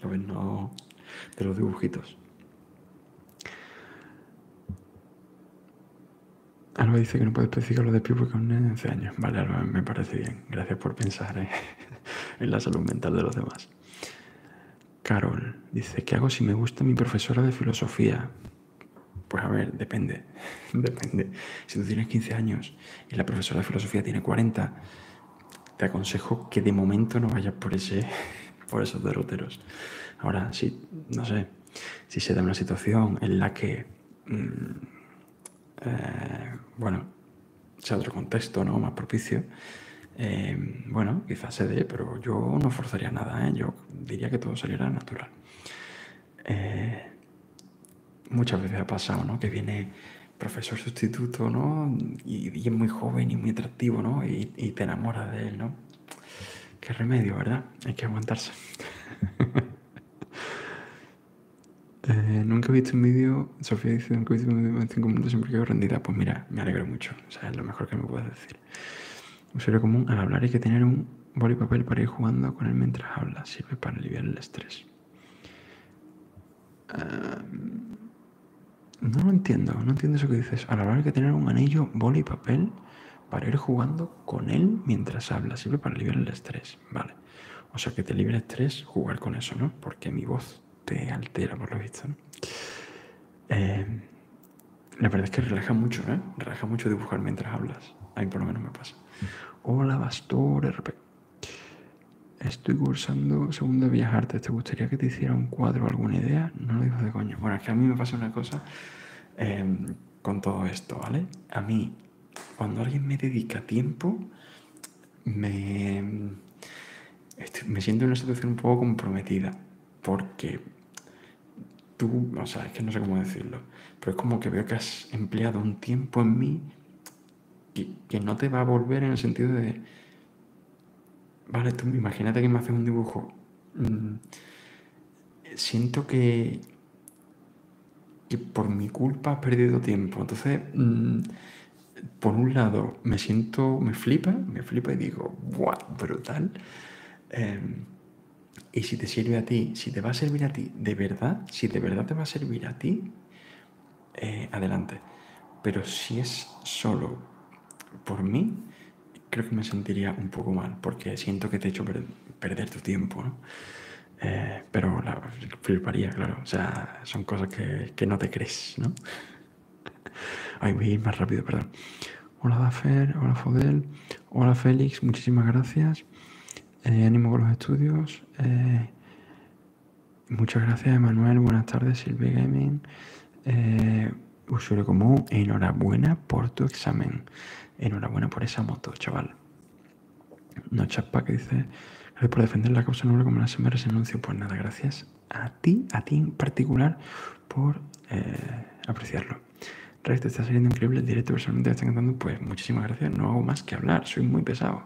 Lobezno de los dibujitos. Alba dice que no puede especificar lo de Piu porque aún es 11 años. Vale, Alba, me parece bien. Gracias por pensar eh, <laughs> en la salud mental de los demás. Carol dice: ¿Qué hago si me gusta mi profesora de filosofía? Pues a ver, depende, <laughs> depende. Si tú tienes 15 años y la profesora de filosofía tiene 40, te aconsejo que de momento no vayas por, <laughs> esos derroteros. Ahora, sí, no sé, si se da una situación en la que, mm, eh, bueno, sea otro contexto, ¿no? Más propicio, eh, bueno, quizás se dé, pero yo no forzaría nada, ¿eh? yo diría que todo saliera natural. Eh, muchas veces ha pasado, ¿no? Que viene profesor sustituto, ¿no? Y, es muy joven y muy atractivo, ¿no? Y, te enamoras de él, ¿no? Qué remedio, ¿verdad? Hay que aguantarse. <laughs> Eh, nunca he visto un vídeo, Sofía dice, nunca he visto un vídeo en cinco minutos siempre quedo rendida. Pues mira, me alegro mucho, sea, es lo mejor que me puedes decir serio común, al hablar hay que tener un boli papel para ir jugando con él mientras habla. Sirve para aliviar el estrés. no lo entiendo, no entiendo eso que dices. Al hablar hay que tener un anillo, boli y papel para ir jugando con él mientras habla. Sirve para aliviar el estrés, ¿vale? O sea, que te libre estrés jugar con eso, ¿no? Porque mi voz te altera, por lo visto, ¿no? Em, la verdad es que relaja mucho, ¿eh? Relaja mucho dibujar mientras hablas. ahí por lo menos me pasa. Hola, Bastor RP. Estoy cursando segunda de Artes. ¿Te gustaría que te hiciera un cuadro alguna idea? No lo digo de coño. Bueno, es que a mí me pasa una cosa em, con todo esto, ¿vale? A mí, cuando alguien me dedica tiempo, me, me siento en una situación un poco comprometida. Porque tú, o sea, es que no sé cómo decirlo, pero es como que veo que has empleado un tiempo en mí que, no te va a volver en el sentido de, vale, tú imagínate que me haces un dibujo. Mm, siento que, por mi culpa has perdido tiempo. Entonces, mm, por un lado, me siento, me flipa, me flipa y digo, ¡guau! Brutal. Em, y si te sirve a ti, si te va a servir a ti, de verdad, si de verdad te va a servir a ti, eh, adelante. Pero si es solo por mí, creo que me sentiría un poco mal, porque siento que te he hecho perder tu tiempo, eh, pero la fliparía, claro. O sea, son cosas que, no te crees, ¿no? <laughs> Ay, voy ir más rápido, perdón. Hola Dafer, hola Fodel, hola Félix, muchísimas gracias. Eh, ánimo con los estudios. Eh, muchas gracias, Emanuel. Buenas tardes, Silvia Gaming. Eh, usuario común, enhorabuena por tu examen. Enhorabuena por esa moto, chaval. No chapa que dice, gracias por defender la causa noble como la semana se anuncio. Pues nada, gracias a ti, a ti en particular, por apreciarlo. Rex, está saliendo increíble directo, personalmente está encantando. Pues muchísimas gracias, no hago más que hablar, soy muy pesado.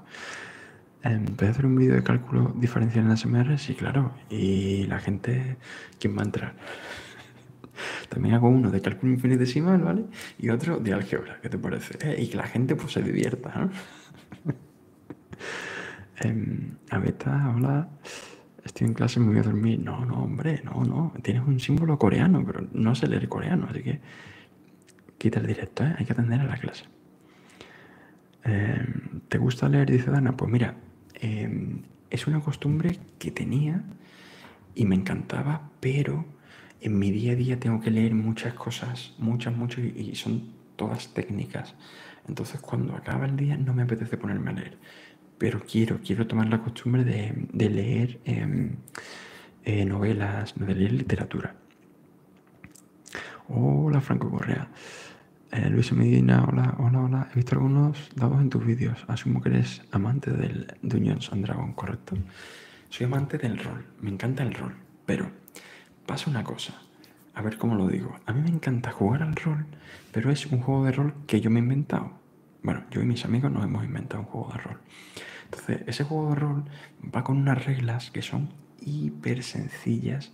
Empecé hacer un vídeo de cálculo diferencial en las sí, claro. Y la gente, ¿quién va a entrar? <laughs> También hago uno de cálculo infinitesimal, ¿vale? Y otro de álgebra, ¿qué te parece? Eh, y que la gente pues se divierta, ¿no? <laughs> eh, Aveta, hola. Estoy en clase, me voy a dormir. No, no, hombre, no, no. Tienes un símbolo coreano, pero no sé leer coreano, así que Quita el directo, ¿eh? hay que atender a la clase. Eh, ¿Te gusta leer? Dice Dana. Pues mira, eh, es una costumbre que tenía y me encantaba, pero en mi día a día tengo que leer muchas cosas, muchas, muchas, y son todas técnicas. Entonces cuando acaba el día no me apetece ponerme a leer, pero quiero, quiero tomar la costumbre de, leer eh, novelas, novelías literatura. Hola Franco Correa. Eh, Luis Medina, hola, hola, hola. He visto algunos dados en tus vídeos. Asumo que eres amante del Dungeons and Dragon, ¿correcto? Soy amante del rol, me encanta el rol, pero pasa una cosa, a ver cómo lo digo. A mí me encanta jugar al rol, pero es un juego de rol que yo me he inventado. Bueno, yo y mis amigos nos hemos inventado un juego de rol. Entonces, ese juego de rol va con unas reglas que son hiper sencillas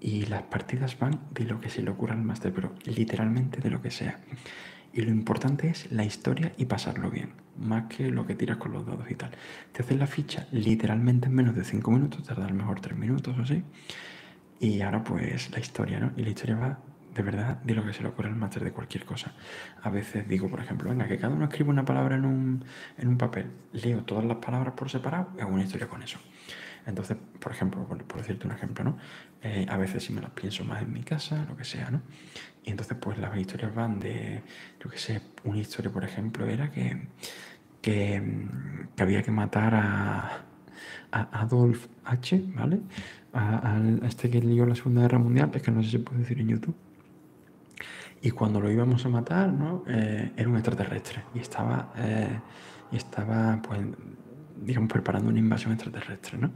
y las partidas van de lo que se le ocurra al máster, pero literalmente de lo que sea. Y lo importante es la historia y pasarlo bien, más que lo que tiras con los dados y tal. Te haces la ficha literalmente en menos de 5 minutos, tarda a mejor 3 minutos o así. Y ahora pues la historia, ¿no? Y la historia va de verdad, de lo que se le ocurre al máster de cualquier cosa. A veces digo, por ejemplo, venga, que cada uno escribe una palabra en un, papel, leo todas las palabras por separado y hago una historia con eso. Entonces, por ejemplo, por, decirte un ejemplo, ¿no? Eh, a veces si me las pienso más en mi casa, lo que sea, ¿no? Y entonces, pues las historias van de, yo qué sé, una historia, por ejemplo, era que, que, había que matar a Adolf H, ¿vale? a, este que lió la Segunda Guerra Mundial, pues que no sé si puede decir en YouTube. Y cuando lo íbamos a matar, eh, era un extraterrestre y estaba, eh, y estaba, pues, digamos, preparando una invasión extraterrestre, ¿no?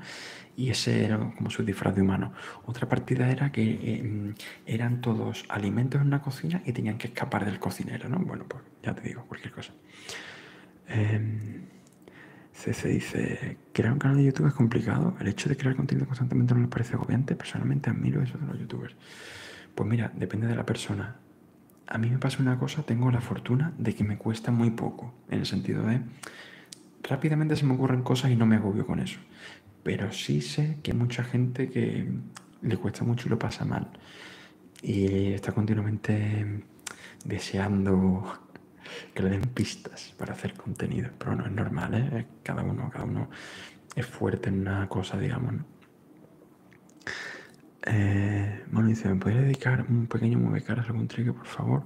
Y ese era como su disfraz de humano. Otra partida era que eh, eran todos alimentos en una cocina y tenían que escapar del cocinero, ¿no? Bueno, pues ya te digo, cualquier cosa se, dice, crear un canal de YouTube es complicado, el hecho de crear contenido constantemente no me parece agobiante, personalmente admiro eso de los youtubers. Pues mira, depende de la persona. A mí me pasa una cosa, tengo la fortuna de que me cuesta muy poco, en el sentido de, rápidamente se me ocurren cosas y no me agobio con eso. Pero sí sé que hay mucha gente que le cuesta mucho y lo pasa mal. Y está continuamente deseando que le den pistas para hacer contenido. Pero no es normal, ¿eh? Cada uno, cada uno es fuerte en una cosa, digamos, ¿no? Eh, dice, ¿me podría dedicar un pequeño muevecaras, caras algún trigger, por favor?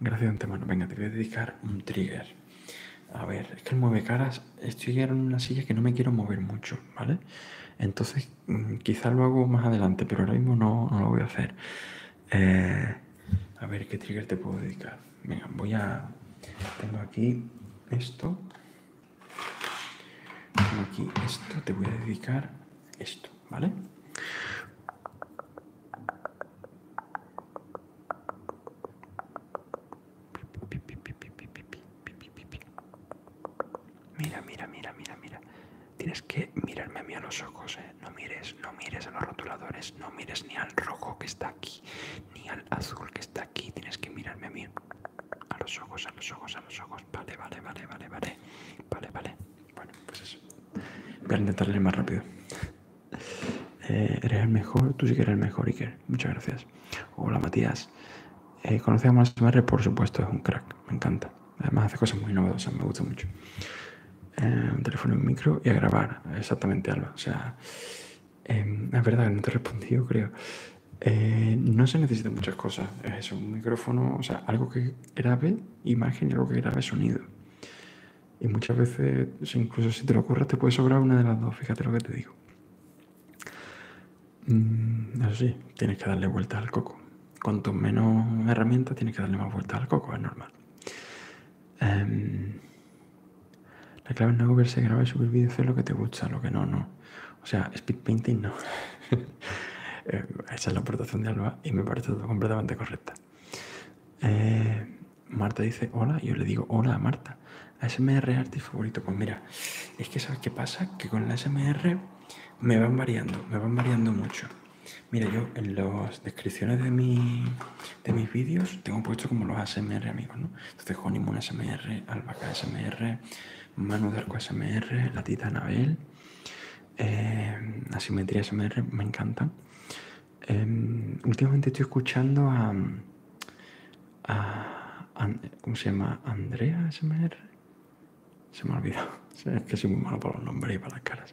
Gracias de antemano. Venga, te voy a dedicar un trigger. A ver, es que el muevecaras, estoy en una silla que no me quiero mover mucho, ¿vale? Entonces, mm, quizás lo hago más adelante, pero ahora mismo no, no lo voy a hacer. Eh, a ver, ¿qué trigger te puedo dedicar? Venga, voy a... Tengo aquí esto. Tengo aquí esto. Te voy a dedicar esto, ¿vale? Mira, mira, mira, mira, mira. Tienes que mirarme a mí a los ojos, ¿eh? no mires, no mires a los rotuladores, no mires ni al rojo que está aquí, ni al azul que está aquí, tienes que mirarme a mí, a los ojos, a los ojos, a los ojos, vale, vale, vale, vale, vale, vale, vale, bueno, pues eso. Voy a intentarle más rápido. Eh, eres el mejor, tú sí que eres el mejor, Iker. Muchas gracias. Hola, Matías. Eh, Conocemos a SMR, por supuesto, es un crack, me encanta. Además hace cosas muy novedosas, me gusta mucho. Eh, un teléfono y un micro y a grabar. Exactamente, algo. O sea, em, es verdad, que no te he respondido, creo. Eh, no se necesitan muchas cosas. Es un micrófono, o sea, algo que grabe imagen y algo que grabe sonido. Y muchas veces, incluso si te lo ocurre, te puede sobrar una de las dos, fíjate lo que te digo. Mm, eso sí, tienes que darle vuelta al coco. Cuanto menos herramientas, tienes que darle más vueltas al coco, es normal. Em, la clave es no se graba y subir vídeos, hacer lo que te gusta, lo que no, no. O sea, speed painting no. <laughs> Eh, esa es la aportación de Alba y me parece todo completamente correcta. Eh, Marta dice hola, yo le digo hola a Marta. es artist favorito. Pues mira, es que ¿sabes qué pasa? Que con la SMR me van variando, me van variando mucho. Mira, yo en las descripciones de mi de mis vídeos tengo puesto como los ASMR amigos, ¿no? Entonces Honeymoon ASMR, Albaca ASMR, Manu Darko ASMR, La Tita Anabel, eh, Asimetría ASMR, me encantan. Em, últimamente estoy escuchando a, a... ¿Cómo se llama? Andrea ASMR. Se me ha olvidado. <laughs> Es que soy muy malo para los nombres y para las caras.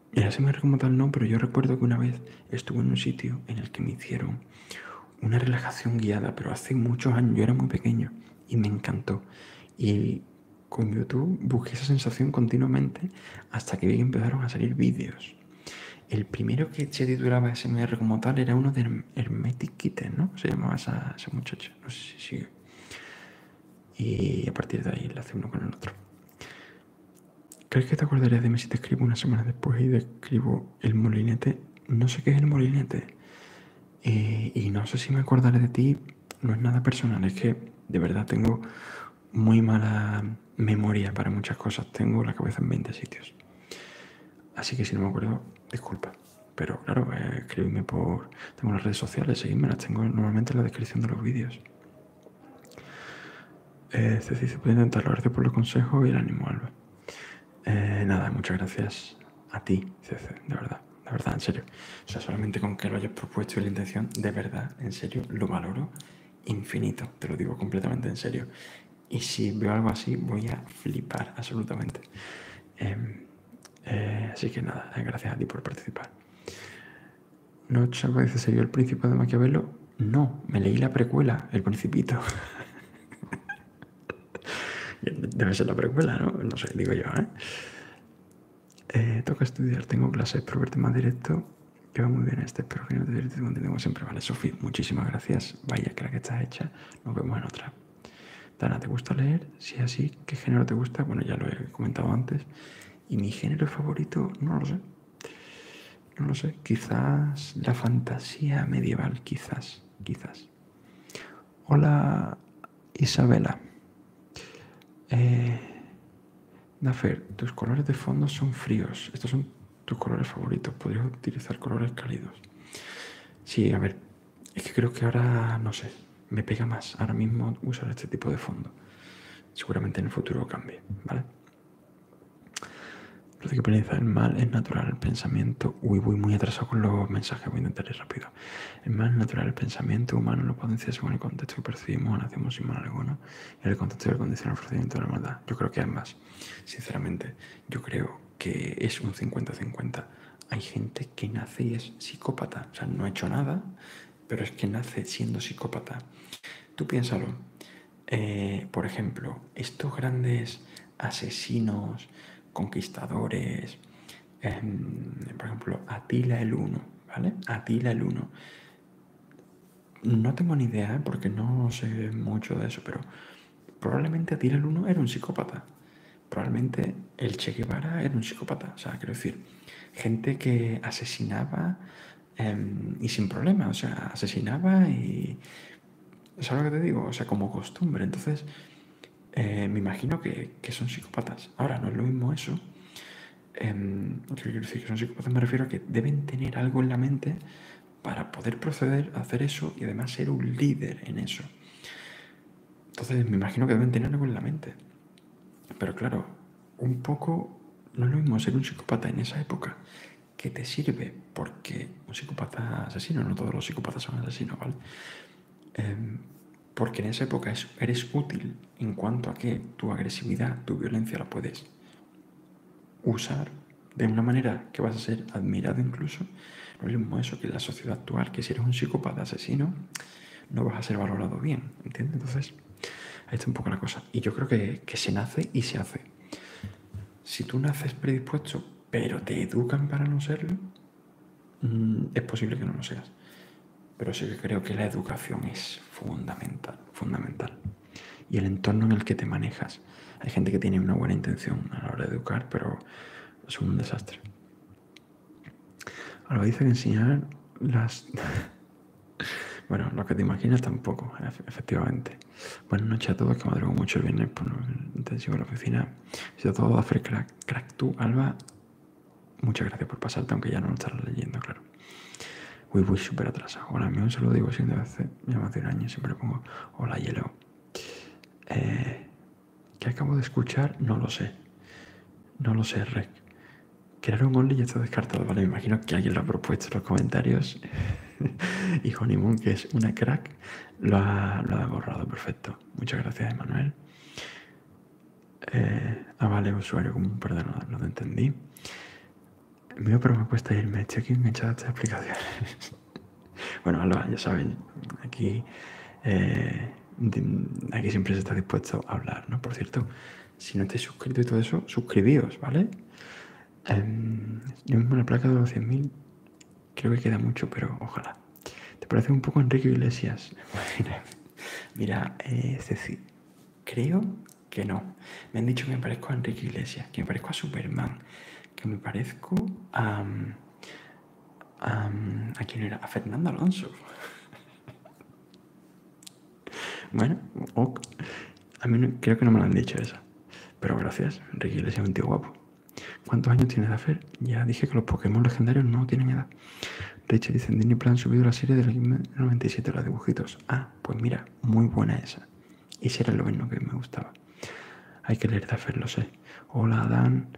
el SMR como tal no, pero yo recuerdo que una vez estuve en un sitio en el que me hicieron una relajación guiada, pero hace muchos años, yo era muy pequeño y me encantó. Y con YouTube busqué esa sensación continuamente hasta que vi que empezaron a salir vídeos. El primero que se titulaba SMR como tal era uno de Hermetic Kitten, ¿no? Se llamaba ese esa muchacha, no sé si sigue y a partir de ahí le hace uno con el otro. ¿Crees que te acordarías de mí si te escribo una semana después y describo el molinete? No sé qué es el molinete. Eh, y no sé si me acordaré de ti. No es nada personal, es que de verdad tengo muy mala memoria para muchas cosas. Tengo la cabeza en 20 sitios. Así que si no me acuerdo, disculpa. Pero claro, eh, escríbeme por... Tengo las redes sociales, seguíme. las tengo normalmente en la descripción de los vídeos. Ceci, este sí se puede intentar, por los consejos y el ánimo, Alba. Eh, nada, muchas gracias a ti, Cece, de verdad, de verdad, en serio. O sea, solamente con que lo hayas propuesto y la intención, de verdad, en serio, lo valoro infinito, te lo digo completamente en serio. Y si veo algo así, voy a flipar absolutamente. Em, eh, así que nada, eh, gracias a ti por participar. No, chaval, dice, el príncipe de Maquiavelo? No, me leí la precuela, El Principito. <laughs> Debe ser la precuela, ¿no? No sé, digo yo, ¿eh? eh toca estudiar, tengo clases, pero el más directo. Que va muy bien este, pero que no te directo como siempre. Vale, Sofi, muchísimas gracias. Vaya, que la que está hecha. Nos vemos en otra. Dana, ¿te gusta leer? Si es así, ¿qué género te gusta? Bueno, ya lo he comentado antes. Y mi género favorito, no lo sé. No lo sé. Quizás la fantasía medieval, quizás, quizás. Hola Isabela. Eh, Dafer, tus colores de fondo son fríos. Estos son tus colores favoritos. Podrías utilizar colores cálidos. Sí, a ver. Es que creo que ahora, no sé, me pega más ahora mismo usar este tipo de fondo seguramente en el futuro cambie, ¿vale? lo que penaliza el mal es natural el pensamiento. Uy, voy muy atrasado con los mensajes, voy a intentar ir rápido. El mal es natural el pensamiento humano lo potencia según el contexto que percibimos, o nacemos sin mal alguno, En el contexto del condiciona el procedimiento de la maldad. Yo creo que hay más. sinceramente, yo creo que es un 50-50. Hay gente que nace y es psicópata, o sea, no ha hecho nada pero es que nace siendo psicópata. Tú piénsalo. Eh, por ejemplo, estos grandes asesinos, conquistadores, em, por ejemplo, Atila el Uno, ¿vale? Atila el Uno. No tengo ni idea, ¿eh? porque no sé mucho de eso, pero probablemente Atila el Uno era un psicópata. Probablemente el Che Guevara era un psicópata. O sea, quiero decir, gente que asesinaba Em, y sin problema, o sea, asesinaba y... es algo que te digo? O sea, como costumbre. Entonces, eh, me imagino que, son psicópatas. Ahora, no es lo mismo eso. Eh, quiero decir que son psicópatas, me refiero a que deben tener algo en la mente para poder proceder a hacer eso y además ser un líder en eso. Entonces, me imagino que deben tener algo en la mente. Pero claro, un poco, no lo mismo ser un psicópata en esa época, que te sirve, porque un psicópata asesino, no todos los psicópatas son asesinos, ¿vale? Em, porque en esa época eres útil en cuanto a que tu agresividad, tu violencia la puedes usar de una manera que vas a ser admirado incluso. No es lo mismo eso que en la sociedad actual, que si eres un psicópata asesino, no vas a ser valorado bien, ¿entiendes? Entonces, Ahí está un poco la cosa. Y yo creo que, se nace y se hace. Si tú naces predispuesto, pero te educan para no serlo, mm, es posible que no lo seas. Pero sí que creo que la educación es fundamental, fundamental. Y el entorno en el que te manejas. Hay gente que tiene una buena intención a la hora de educar, pero es un desastre. Ahora dice enseñar las... <laughs> Bueno, lo que te imaginas tampoco, efectivamente. Buenas noches a todos, que madrugo mucho el viernes por intensivo de la oficina. Y a todos, crack, crack, tú, Alba. Muchas gracias por pasarte, aunque ya no lo estarás leyendo, claro. Uy, uy, súper atrasado. Hola, mío, se lo digo, siendo hace ya más de un año, siempre pongo hola, hielo. Que eh, ¿Qué acabo de escuchar? No lo sé. No lo sé, Rec. Crear un Only ya está descartado, ¿vale? Me imagino que alguien lo ha propuesto en los comentarios <laughs> y Honeymoon, que es una crack, lo ha, borrado. Perfecto. Muchas gracias, Emanuel. Eh, ah, vale, usuario común, perdón, no, lo entendí. Mío, pero me cuesta irme. Estoy aquí enganchado a estas aplicaciones. <laughs> bueno, ya saben, aquí, eh, aquí siempre se está dispuesto a hablar, ¿no? Por cierto. Si no estáis suscrito y todo eso, suscribíos, ¿vale? Em, yo mismo la placa de los 100.000 creo que queda mucho, pero ojalá. ¿Te parece un poco Enrique Iglesias? <laughs> mira, eh, Ceci, creo que no. Me han dicho que me parezco a Enrique Iglesias, que me parezco a Superman, que me parezco a... Mm, mm, ¿A quién era? A Fernando Alonso. <laughs> Bueno, A mí creo que no me lo han dicho eso. Pero gracias, Ricky le es un tío guapo. ¿Cuántos años tiene Dafer? Ya dije que los Pokémon legendarios no tienen edad. De hecho, dicen Disney Plan subido la serie del 97, los dibujitos. Ah, pues mira, muy buena esa. Y será era lo mismo que me gustaba. Hay que leer Daffer, lo sé. Hola, Dan.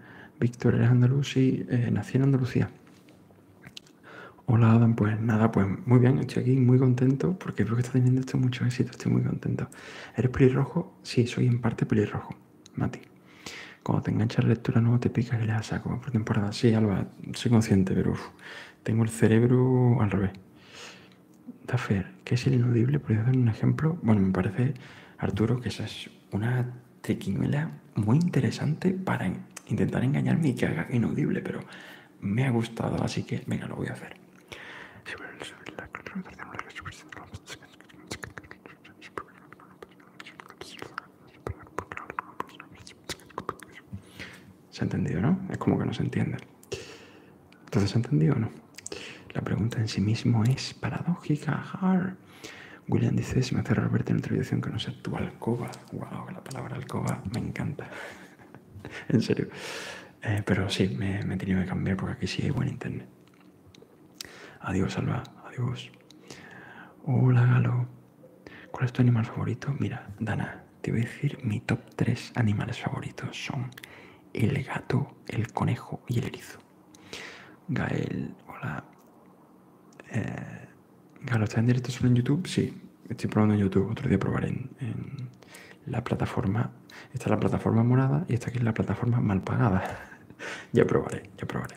Víctor, eres andaluz y eh, nací en Andalucía. Hola Adam, pues nada, pues muy bien, estoy aquí muy contento porque creo que está teniendo esto mucho éxito, estoy muy contento. ¿Eres pelirrojo? Sí, soy en parte pelirrojo, Mati. Cuando te enganchas la lectura no te picas y le saco por temporada. Sí, Alba, soy consciente, pero tengo el cerebro al revés. Daffer, ¿qué es el inaudible? ¿Puedes dar un ejemplo? Bueno, me parece, Arturo, que esa es una triquiñuela muy interesante para intentar engañarme y que haga inaudible, pero me ha gustado, así que venga, lo voy a hacer. ¿Se ha entendido, no? Es como que no se entiende. Entonces, ¿se ha entendido o no? La pregunta en sí mismo es paradójica. Hard. William dice, si me hace Roberto en otra que no sea tu alcoba. Wow, la palabra alcoba me encanta. <laughs> en serio. Eh, pero sí, me, he tenido que cambiar porque aquí sí hay buen internet. Adiós, Alba. Adiós. Hola, Galo. ¿Cuál es tu animal favorito? Mira, Dana, te voy a decir mi top tres animales favoritos. Son el gato, el conejo y el erizo. Gael, hola. Eh, Claro, ¿está en directo solo en YouTube? Sí, estoy probando en YouTube. Otro día probaré en, la plataforma. Esta es la plataforma morada y esta aquí es la plataforma mal pagada. <laughs> ya probaré, ya probaré.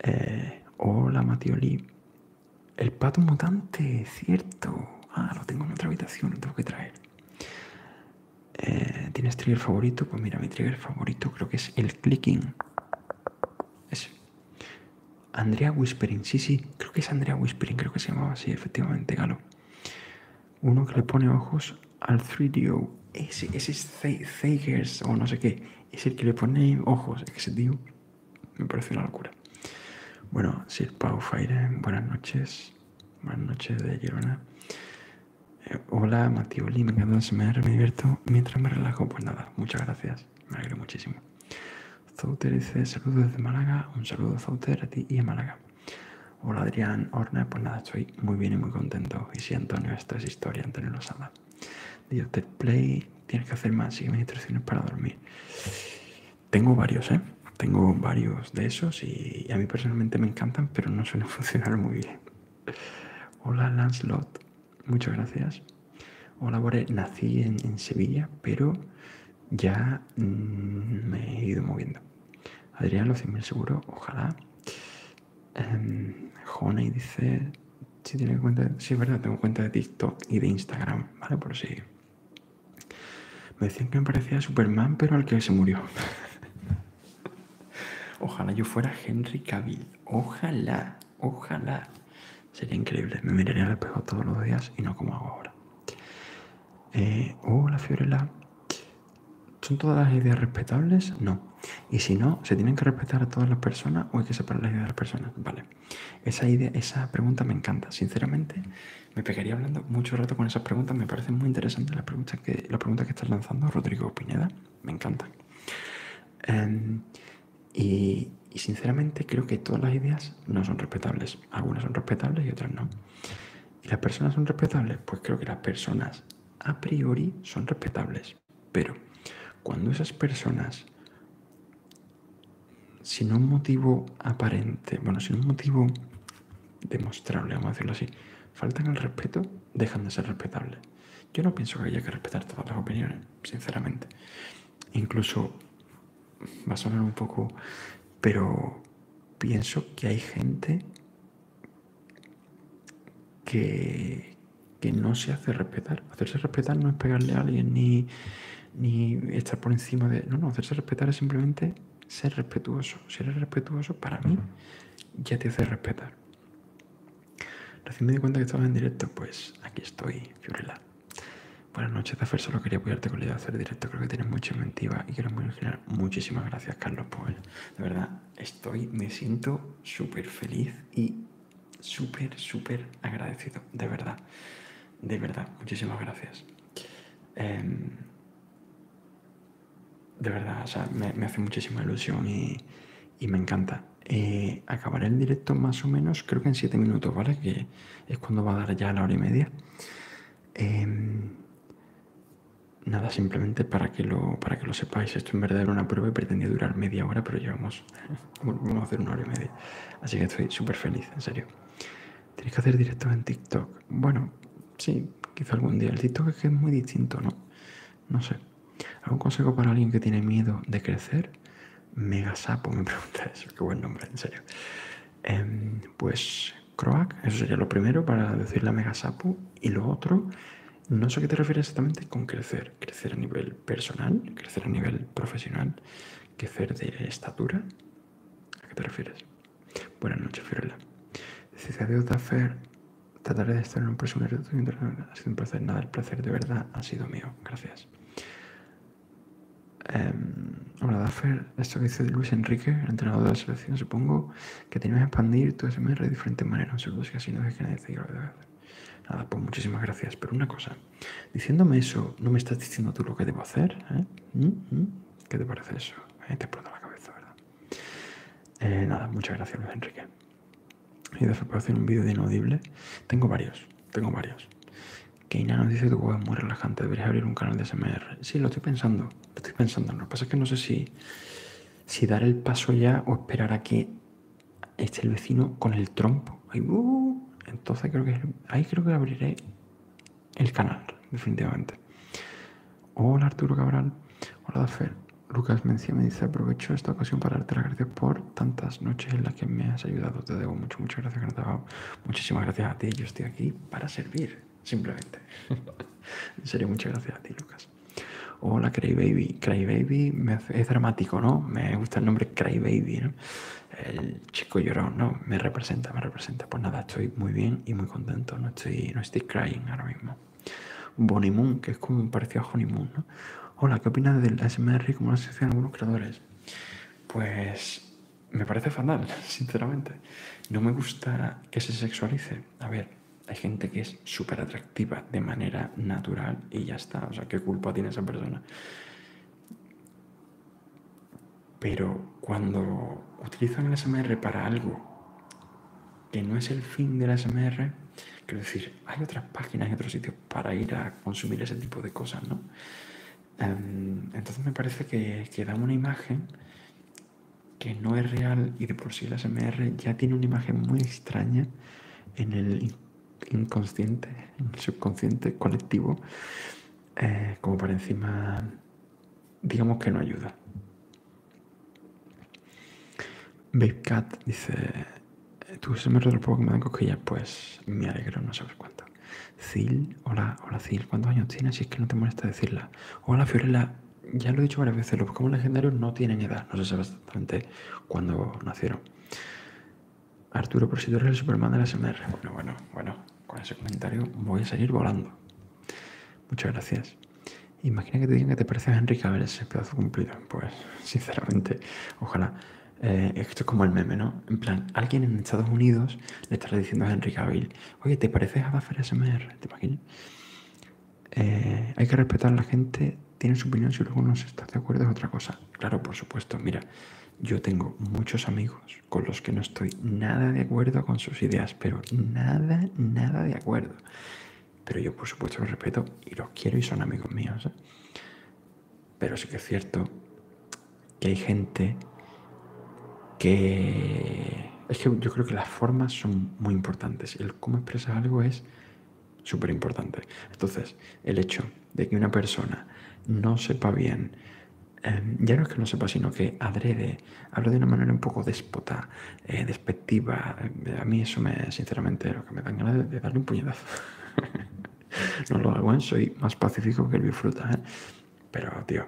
Eh, hola, Matioli. El pato mutante, cierto. Ah, lo tengo en otra habitación, lo tengo que traer. Eh, ¿Tienes trigger favorito? Pues mira, mi trigger favorito creo que es el clicking. Ese. Andrea Whispering, sí, sí, creo que es Andrea Whispering, creo que se llamaba así, efectivamente, Galo. Uno que le pone ojos al 3DO. Ese, es Zegers o no sé qué. Es el que le pone ojos. Es ese tío me parece una locura. Bueno, Sir Pau Fire, buenas noches. Buenas noches de Girona. Eh, hola, Matioli, me encanta me divierto mientras me relajo. Pues nada, muchas gracias. Me alegro muchísimo. Zouter dice saludos desde Málaga. Un saludo Zouter a ti y a Málaga. Hola Adrián, Horna, pues nada, estoy muy bien y muy contento. Y si Antonio, esta es historia, Antonio sabe. Dios te play, tienes que hacer más, sigue mis instrucciones para dormir. Tengo varios, ¿eh? Tengo varios de esos y a mí personalmente me encantan, pero no suelen <laughs> funcionar muy bien. Hola Lancelot, muchas gracias. Hola, Bore. Nací en, Sevilla, pero ya mm, me he ido moviendo. Adrián, los 100.000 seguro, ojalá. Em, Jonah dice, si ¿sí tiene cuenta, sí, es verdad, tengo cuenta de TikTok y de Instagram, ¿vale? Por si... Me decían que me parecía Superman, pero al que se murió. <laughs> ojalá yo fuera Henry Cavill, ojalá, ojalá. Sería increíble. Me miraría el espejo todos los días y no como hago ahora. Hola eh, uh, la Fiorella. ¿Son todas las ideas respetables? No. Y si no, ¿se tienen que respetar a todas las personas o hay que separar las ideas de las personas? Vale. Esa, pregunta me encanta. Sinceramente, me pegaría hablando mucho rato con esas preguntas. Me parecen muy interesantes las preguntas que, está estás lanzando, Rodrigo Pineda. Me encantan. Em, y, sinceramente creo que todas las ideas no son respetables. Algunas son respetables y otras no. ¿Y las personas son respetables? Pues creo que las personas a priori son respetables. Pero cuando esas personas, sin un motivo aparente, bueno, sin un motivo demostrable, vamos a decirlo así, faltan al respeto, dejan de ser respetables. Yo no pienso que haya que respetar todas las opiniones, sinceramente. Incluso va a sonar un poco, pero pienso que hay gente que, no se hace respetar. Hacerse respetar no es pegarle a alguien ni, estar por encima de... No, no, hacerse respetar es simplemente ser respetuoso. Si eres respetuoso, para mí, ya te hace respetar. Recién me di cuenta que estaba en directo, pues aquí estoy, Fiorella. Buenas noches, Zafer. Solo quería apoyarte con la idea de hacer directo. Creo que tienes mucha inventiva y quiero generar Muchísimas gracias, Carlos Pues De verdad, estoy, me siento súper feliz y súper, súper agradecido. De verdad. De verdad. Muchísimas gracias. Em, de verdad, o sea, me, hace muchísima ilusión y, me encanta. Eh, acabaré el directo más o menos, creo que en 7 minutos, ¿vale? Que es cuando va a dar ya la hora y media. Em, nada, simplemente para que, lo, para que lo sepáis, esto en verdad era una prueba y pretendía durar media hora, pero llevamos, vamos a hacer una hora y media. Así que estoy súper feliz, en serio. tenéis que hacer directo en TikTok. Bueno, sí, quizá algún día. El TikTok es que es muy distinto, ¿no? No sé. ¿Algún consejo para alguien que tiene miedo de crecer? Mega Sapo me <laughs> pregunta eso, qué buen nombre, en serio. Em, pues Croac, eso sería lo primero para decir la Mega Sapo. Y lo otro, no sé a qué te refieres exactamente con crecer. Crecer a nivel personal, crecer a nivel profesional, crecer de estatura. ¿A qué te refieres? Buenas noches, Fiorella. se adiós, hacer Trataré de estar en un próximo Ha sido un placer. Nada, el placer de verdad ha sido mío. Gracias. Em, hola, Daffer. Esto que dice Luis Enrique, el entrenador de la selección, supongo que tenías que expandir tu SMR de diferentes maneras. Saludos si así no es que nadie Nada, pues muchísimas gracias. Pero una cosa, diciéndome eso, ¿no me estás diciendo tú lo que debo hacer? Eh? ¿Mm? ¿Mm? ¿Qué te parece eso? te explota la cabeza, ¿verdad? Eh, nada, muchas gracias, Luis Enrique. Y después hacer un vídeo de inaudible, tengo varios, tengo varios. Keina nos dice tu juego es muy relajante, deberías abrir un canal de SMR. Sí, lo estoy pensando, lo estoy pensando. Lo que pasa es que no sé si, si dar el paso ya o esperar a que esté el vecino con el trompo. Uh, entonces creo que ahí creo que abriré el canal, definitivamente. Hola Arturo Cabral, hola Dafer. Lucas Mencia me dice, aprovecho esta ocasión para darte las gracias por tantas noches en las que me has ayudado. Te debo mucho, muchas gracias, que Muchísimas gracias a ti. Yo estoy aquí para servir, simplemente. <laughs> en serio, muchas gracias a ti, Lucas. Hola, Crybaby. Crybaby es dramático, ¿no? Me gusta el nombre Crybaby, ¿no? El chico llorón, ¿no? Me representa, me representa. Pues nada, estoy muy bien y muy contento. No estoy, no estoy crying ahora mismo. Bonnie Moon, que es como parecido a Honeymoon, ¿no? Hola, ¿qué opinas del SMR como la asociación algunos creadores? Pues me parece fatal, <laughs> sinceramente. No me gusta que se sexualice. A ver, hay gente que es súper atractiva de manera natural y ya está. O sea, ¿qué culpa tiene esa persona? Pero cuando utilizan el SMR para algo que no es el fin del SMR, quiero decir, hay otras páginas y otros sitios para ir a consumir ese tipo de cosas, ¿no? entonces me parece que, da una imagen que no es real y de por sí la SMR ya tiene una imagen muy extraña en el inconsciente, en el subconsciente colectivo, eh, como por encima, digamos que no ayuda. Cat dice, tu se me retropoca que me dan cosquillas, pues me alegro, no sabes cuánto. Sil, hola, hola Sil, ¿cuántos años tienes? Si es que no te molesta decirla. Hola Fiorella, ya lo he dicho varias veces, los Pokémon legendarios no tienen edad, no se sabe exactamente cuándo nacieron. Arturo, por si tú eres el Superman de la SMR. Bueno, bueno, bueno, con ese comentario voy a seguir volando. Muchas gracias. Imagina que te digan que te pareces a ver ese pedazo cumplido. Pues, sinceramente, ojalá. Eh, esto es como el meme, ¿no? En plan, alguien en Estados Unidos le estará diciendo a Henry Cavill, oye, ¿te pareces a Baffer SMR? ¿Te imaginas? Eh, hay que respetar a la gente, tiene su opinión, si luego no estás de acuerdo es otra cosa. Claro, por supuesto, mira, yo tengo muchos amigos con los que no estoy nada de acuerdo con sus ideas, pero nada, nada de acuerdo. Pero yo por supuesto los respeto y los quiero y son amigos míos. ¿eh? Pero sí que es cierto que hay gente que... Es que yo creo que las formas son muy importantes. El cómo expresar algo es súper importante. Entonces, el hecho de que una persona no sepa bien, em, ya no es que no sepa, sino que adrede, habla de una manera un poco déspota, eh, despectiva, eh, a mí eso me, sinceramente, lo que me dan ganas de, darle un puñetazo. <laughs> no lo hago, ¿eh? soy más pacífico que el bifruta, pero, tío.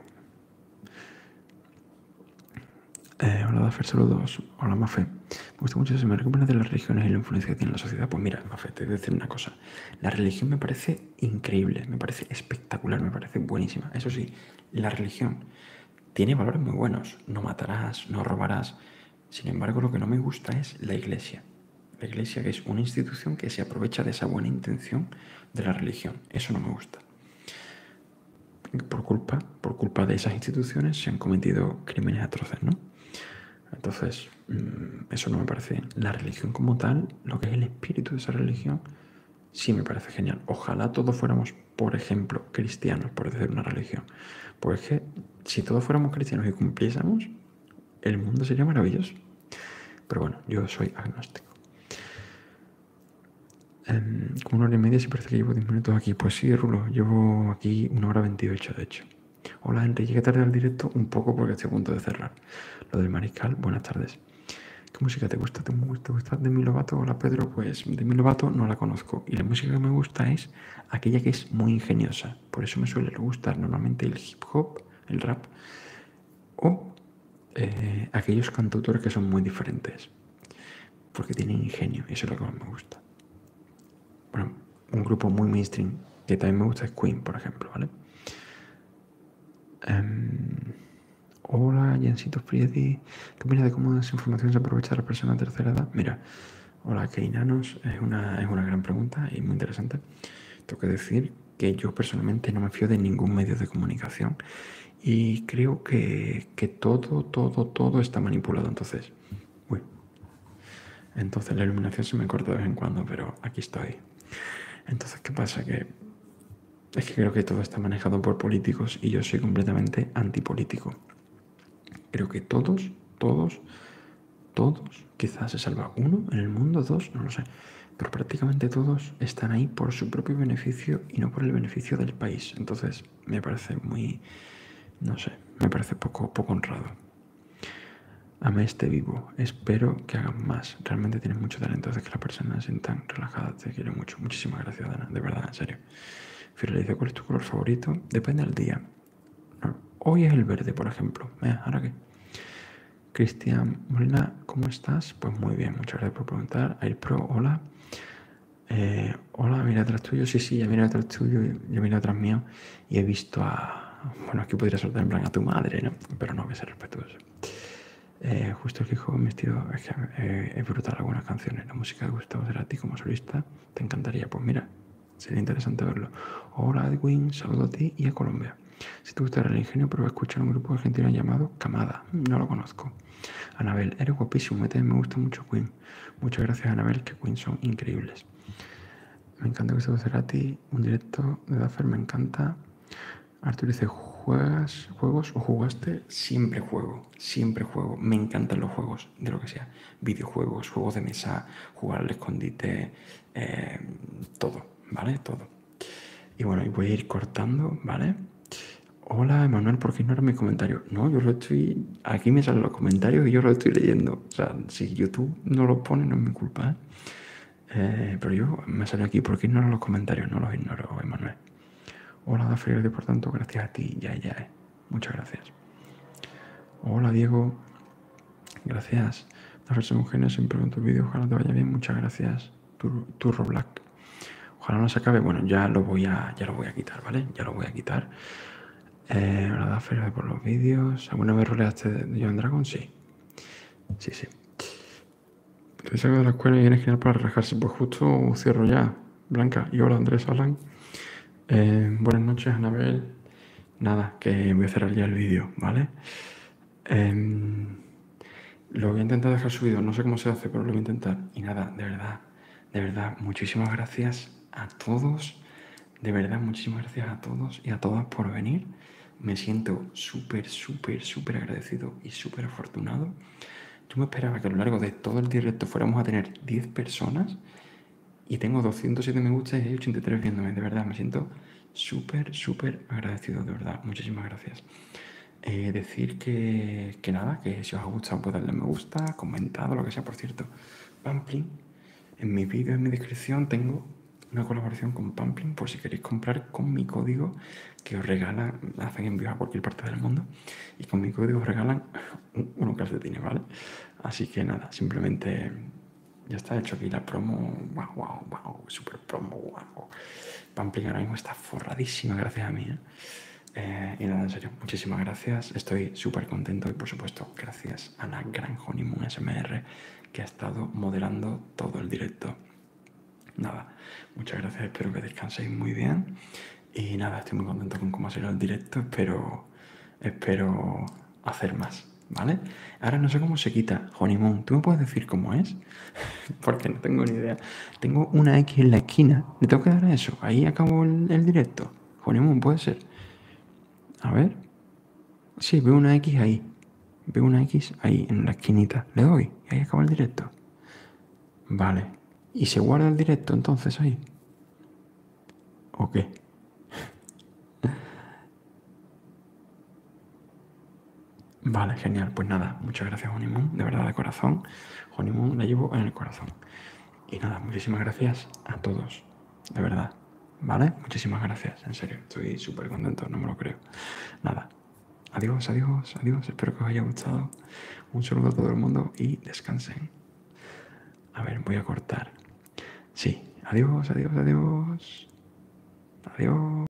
Eh, hola, Dafer, saludos. Hola, Mafe. Me gusta mucho ese me recuperan de las religiones y la influencia que tiene en la sociedad. Pues mira, Mafe, te voy a decir una cosa. La religión me parece increíble, me parece espectacular, me parece buenísima. Eso sí, la religión tiene valores muy buenos. No matarás, no robarás. Sin embargo, lo que no me gusta es la iglesia. La iglesia que es una institución que se aprovecha de esa buena intención de la religión. Eso no me gusta. Por culpa, por culpa de esas instituciones se han cometido crímenes atroces, ¿no? Entonces, mm, eso no me parece La religión como tal, lo que es el espíritu de esa religión, sí me parece genial. Ojalá todos fuéramos, por ejemplo, cristianos, por decir una religión. Porque pues si todos fuéramos cristianos y cumpliésemos, el mundo sería maravilloso. Pero bueno, yo soy agnóstico. Em, como una hora y media, si parece que llevo 10 minutos aquí. Pues sí, Rulo, llevo aquí una hora 28, de hecho. Hola, Enrique. llegué tarde al directo un poco porque estoy a punto de cerrar. Lo del mariscal, buenas tardes. ¿Qué música te gusta? ¿Te gusta, de Demi Lovato? Hola, Pedro. Pues Demi Lovato no la conozco. Y la música que me gusta es aquella que es muy ingeniosa. Por eso me suele gustar normalmente el hip hop, el rap o eh, aquellos cantautores que son muy diferentes, porque tienen ingenio, y eso es lo que más me gusta. un grupo muy mainstream que también me gusta es Queen, por ejemplo, ¿vale? Em, hola, Jensito Friedi. ¿Qué opinas de cómo esa información se aprovecha la persona de tercera edad? Mira, hola, Keinanos, es una, es una gran pregunta y muy interesante. Tengo que decir que yo personalmente no me fío de ningún medio de comunicación y creo que, que todo, todo, todo está manipulado. Entonces, entonces la iluminación se me corta de vez en cuando, pero aquí estoy. Entonces, ¿qué pasa? Que es que creo que todo está manejado por políticos y yo soy completamente antipolítico. Creo que todos, todos, todos, quizás se salva uno en el mundo, dos, no lo sé, pero prácticamente todos están ahí por su propio beneficio y no por el beneficio del país. Entonces me parece muy, no sé, me parece poco, poco honrado. Ame este vivo, espero que hagan más. Realmente tienes mucho talento, Es que las personas se sientan relajadas, te quiero mucho. Muchísimas gracias, Dana, de verdad, en serio. Finalizo ¿cuál es tu color favorito? Depende del día. Hoy es el verde, por ejemplo. mira ¿Ahora qué? Cristian Molina, ¿cómo estás? Pues muy bien, muchas gracias por preguntar. Pro, hola. Eh, hola, mira atrás tuyo. Sí, sí, ya mira atrás tuyo, yo mira atrás mío y he visto a. Bueno, aquí podría soltar en plan a tu madre, ¿no? Pero no, voy a respetuoso. Eh, justo el hijo vestido. Es que eh, es brutal algunas canciones. La música de a ti como solista te encantaría. Pues mira, sería interesante verlo. Hola Edwin, saludo a ti y a Colombia. Si te gusta el ingenio, prueba a escuchar un grupo argentino llamado Camada. No lo conozco. Anabel, eres guapísimo. me gusta mucho Queen. Muchas gracias, Anabel, que Queen son increíbles. Me encanta que se ti, Un directo de Duffer, me encanta. Artur dice, ¿juegas juegos o jugaste? Siempre juego, siempre juego. Me encantan los juegos, de lo que sea. Videojuegos, juegos de mesa, jugar al escondite, eh, todo, ¿vale? Todo. Y bueno, y voy a ir cortando, ¿vale? Hola, Emanuel, ¿por qué no comentarios. mi comentario? No, yo lo estoy... Aquí me salen los comentarios y yo lo estoy leyendo. O sea, si YouTube no lo pone, no es mi culpa, ¿eh? Eh, pero yo me sale aquí, ¿por qué ignoro los comentarios? No los ignoro, Emanuel. Hola, Dafri, por tanto, gracias a ti, ya, ya, Muchas gracias. Hola, Diego. Gracias. Dafriel mujeres siempre en tu vídeo, ojalá te vaya bien, muchas gracias. Turro Black. Ojalá no se acabe. Bueno, ya lo voy a, ya lo voy a quitar, ¿vale? Ya lo voy a quitar. Eh, por los vídeos. ¿Alguna vez roleaste de John Dragon? Sí. Sí, sí. Te salgo de la escuela y vienes genial para relajarse. Pues justo cierro ya, Blanca. Y hola, Andrés, Alan. Eh, buenas noches, Anabel. Nada, que voy a cerrar ya el vídeo, ¿vale? Em, lo voy a intentar dejar subido, no sé cómo se hace, pero lo voy a intentar. Y nada, de verdad, de verdad, muchísimas gracias a todos. De verdad, muchísimas gracias a todos y a todas por venir. Me siento súper, súper, súper agradecido y súper afortunado. Yo me esperaba que a lo largo de todo el directo fuéramos a tener 10 personas y tengo 207 me gusta y 83 viéndome. De verdad, me siento súper, súper agradecido, de verdad. Muchísimas gracias. Eh, decir que, nada, que si os ha gustado, pues darle me gusta, comentado, lo que sea, por cierto. Pamplin, en mi vídeo, en mi descripción, tengo una colaboración con Pamplin por si queréis comprar con mi código que os regalan, hacen envío a cualquier parte del mundo y con mi código os regalan <laughs> de dinero ¿vale? Así que nada, simplemente ya está hecho aquí la promo, wow, wow, wow, super promo, wow. Pampling ahora mismo está forradísima gracias a mí. ¿eh? Eh, y nada, en serio, muchísimas gracias. Estoy súper contento y por supuesto gracias a la gran Honeymoon SMR que ha estado modelando todo el directo. Nada, muchas gracias, espero que descanséis muy bien. Y nada, estoy muy contento con cómo ha sido el directo, espero, espero hacer más, ¿vale? Ahora no sé cómo se quita Honeymoon, ¿tú me puedes decir cómo es? <laughs> porque no tengo ni idea. Tengo una X en la esquina. Le tengo que dar a eso. Ahí acabo el, directo. Ponemos, puede ser. A ver. si, veo una X ahí. Veo una X ahí, en la esquinita. Le doy. Y ahí acaba el directo. Vale. ¿Y se guarda el directo entonces ahí? ¿O qué? <laughs> Vale, genial. Pues nada, muchas gracias, Honeymoon. De verdad, de corazón. Honeymoon la llevo en el corazón. Y nada, muchísimas gracias a todos. De verdad. ¿Vale? Muchísimas gracias. En serio, estoy súper contento, no me lo creo. Nada. Adiós, adiós, adiós. Espero que os haya gustado. Un saludo a todo el mundo y descansen. A ver, voy a cortar. Sí. Adiós, adiós, adiós. Adiós.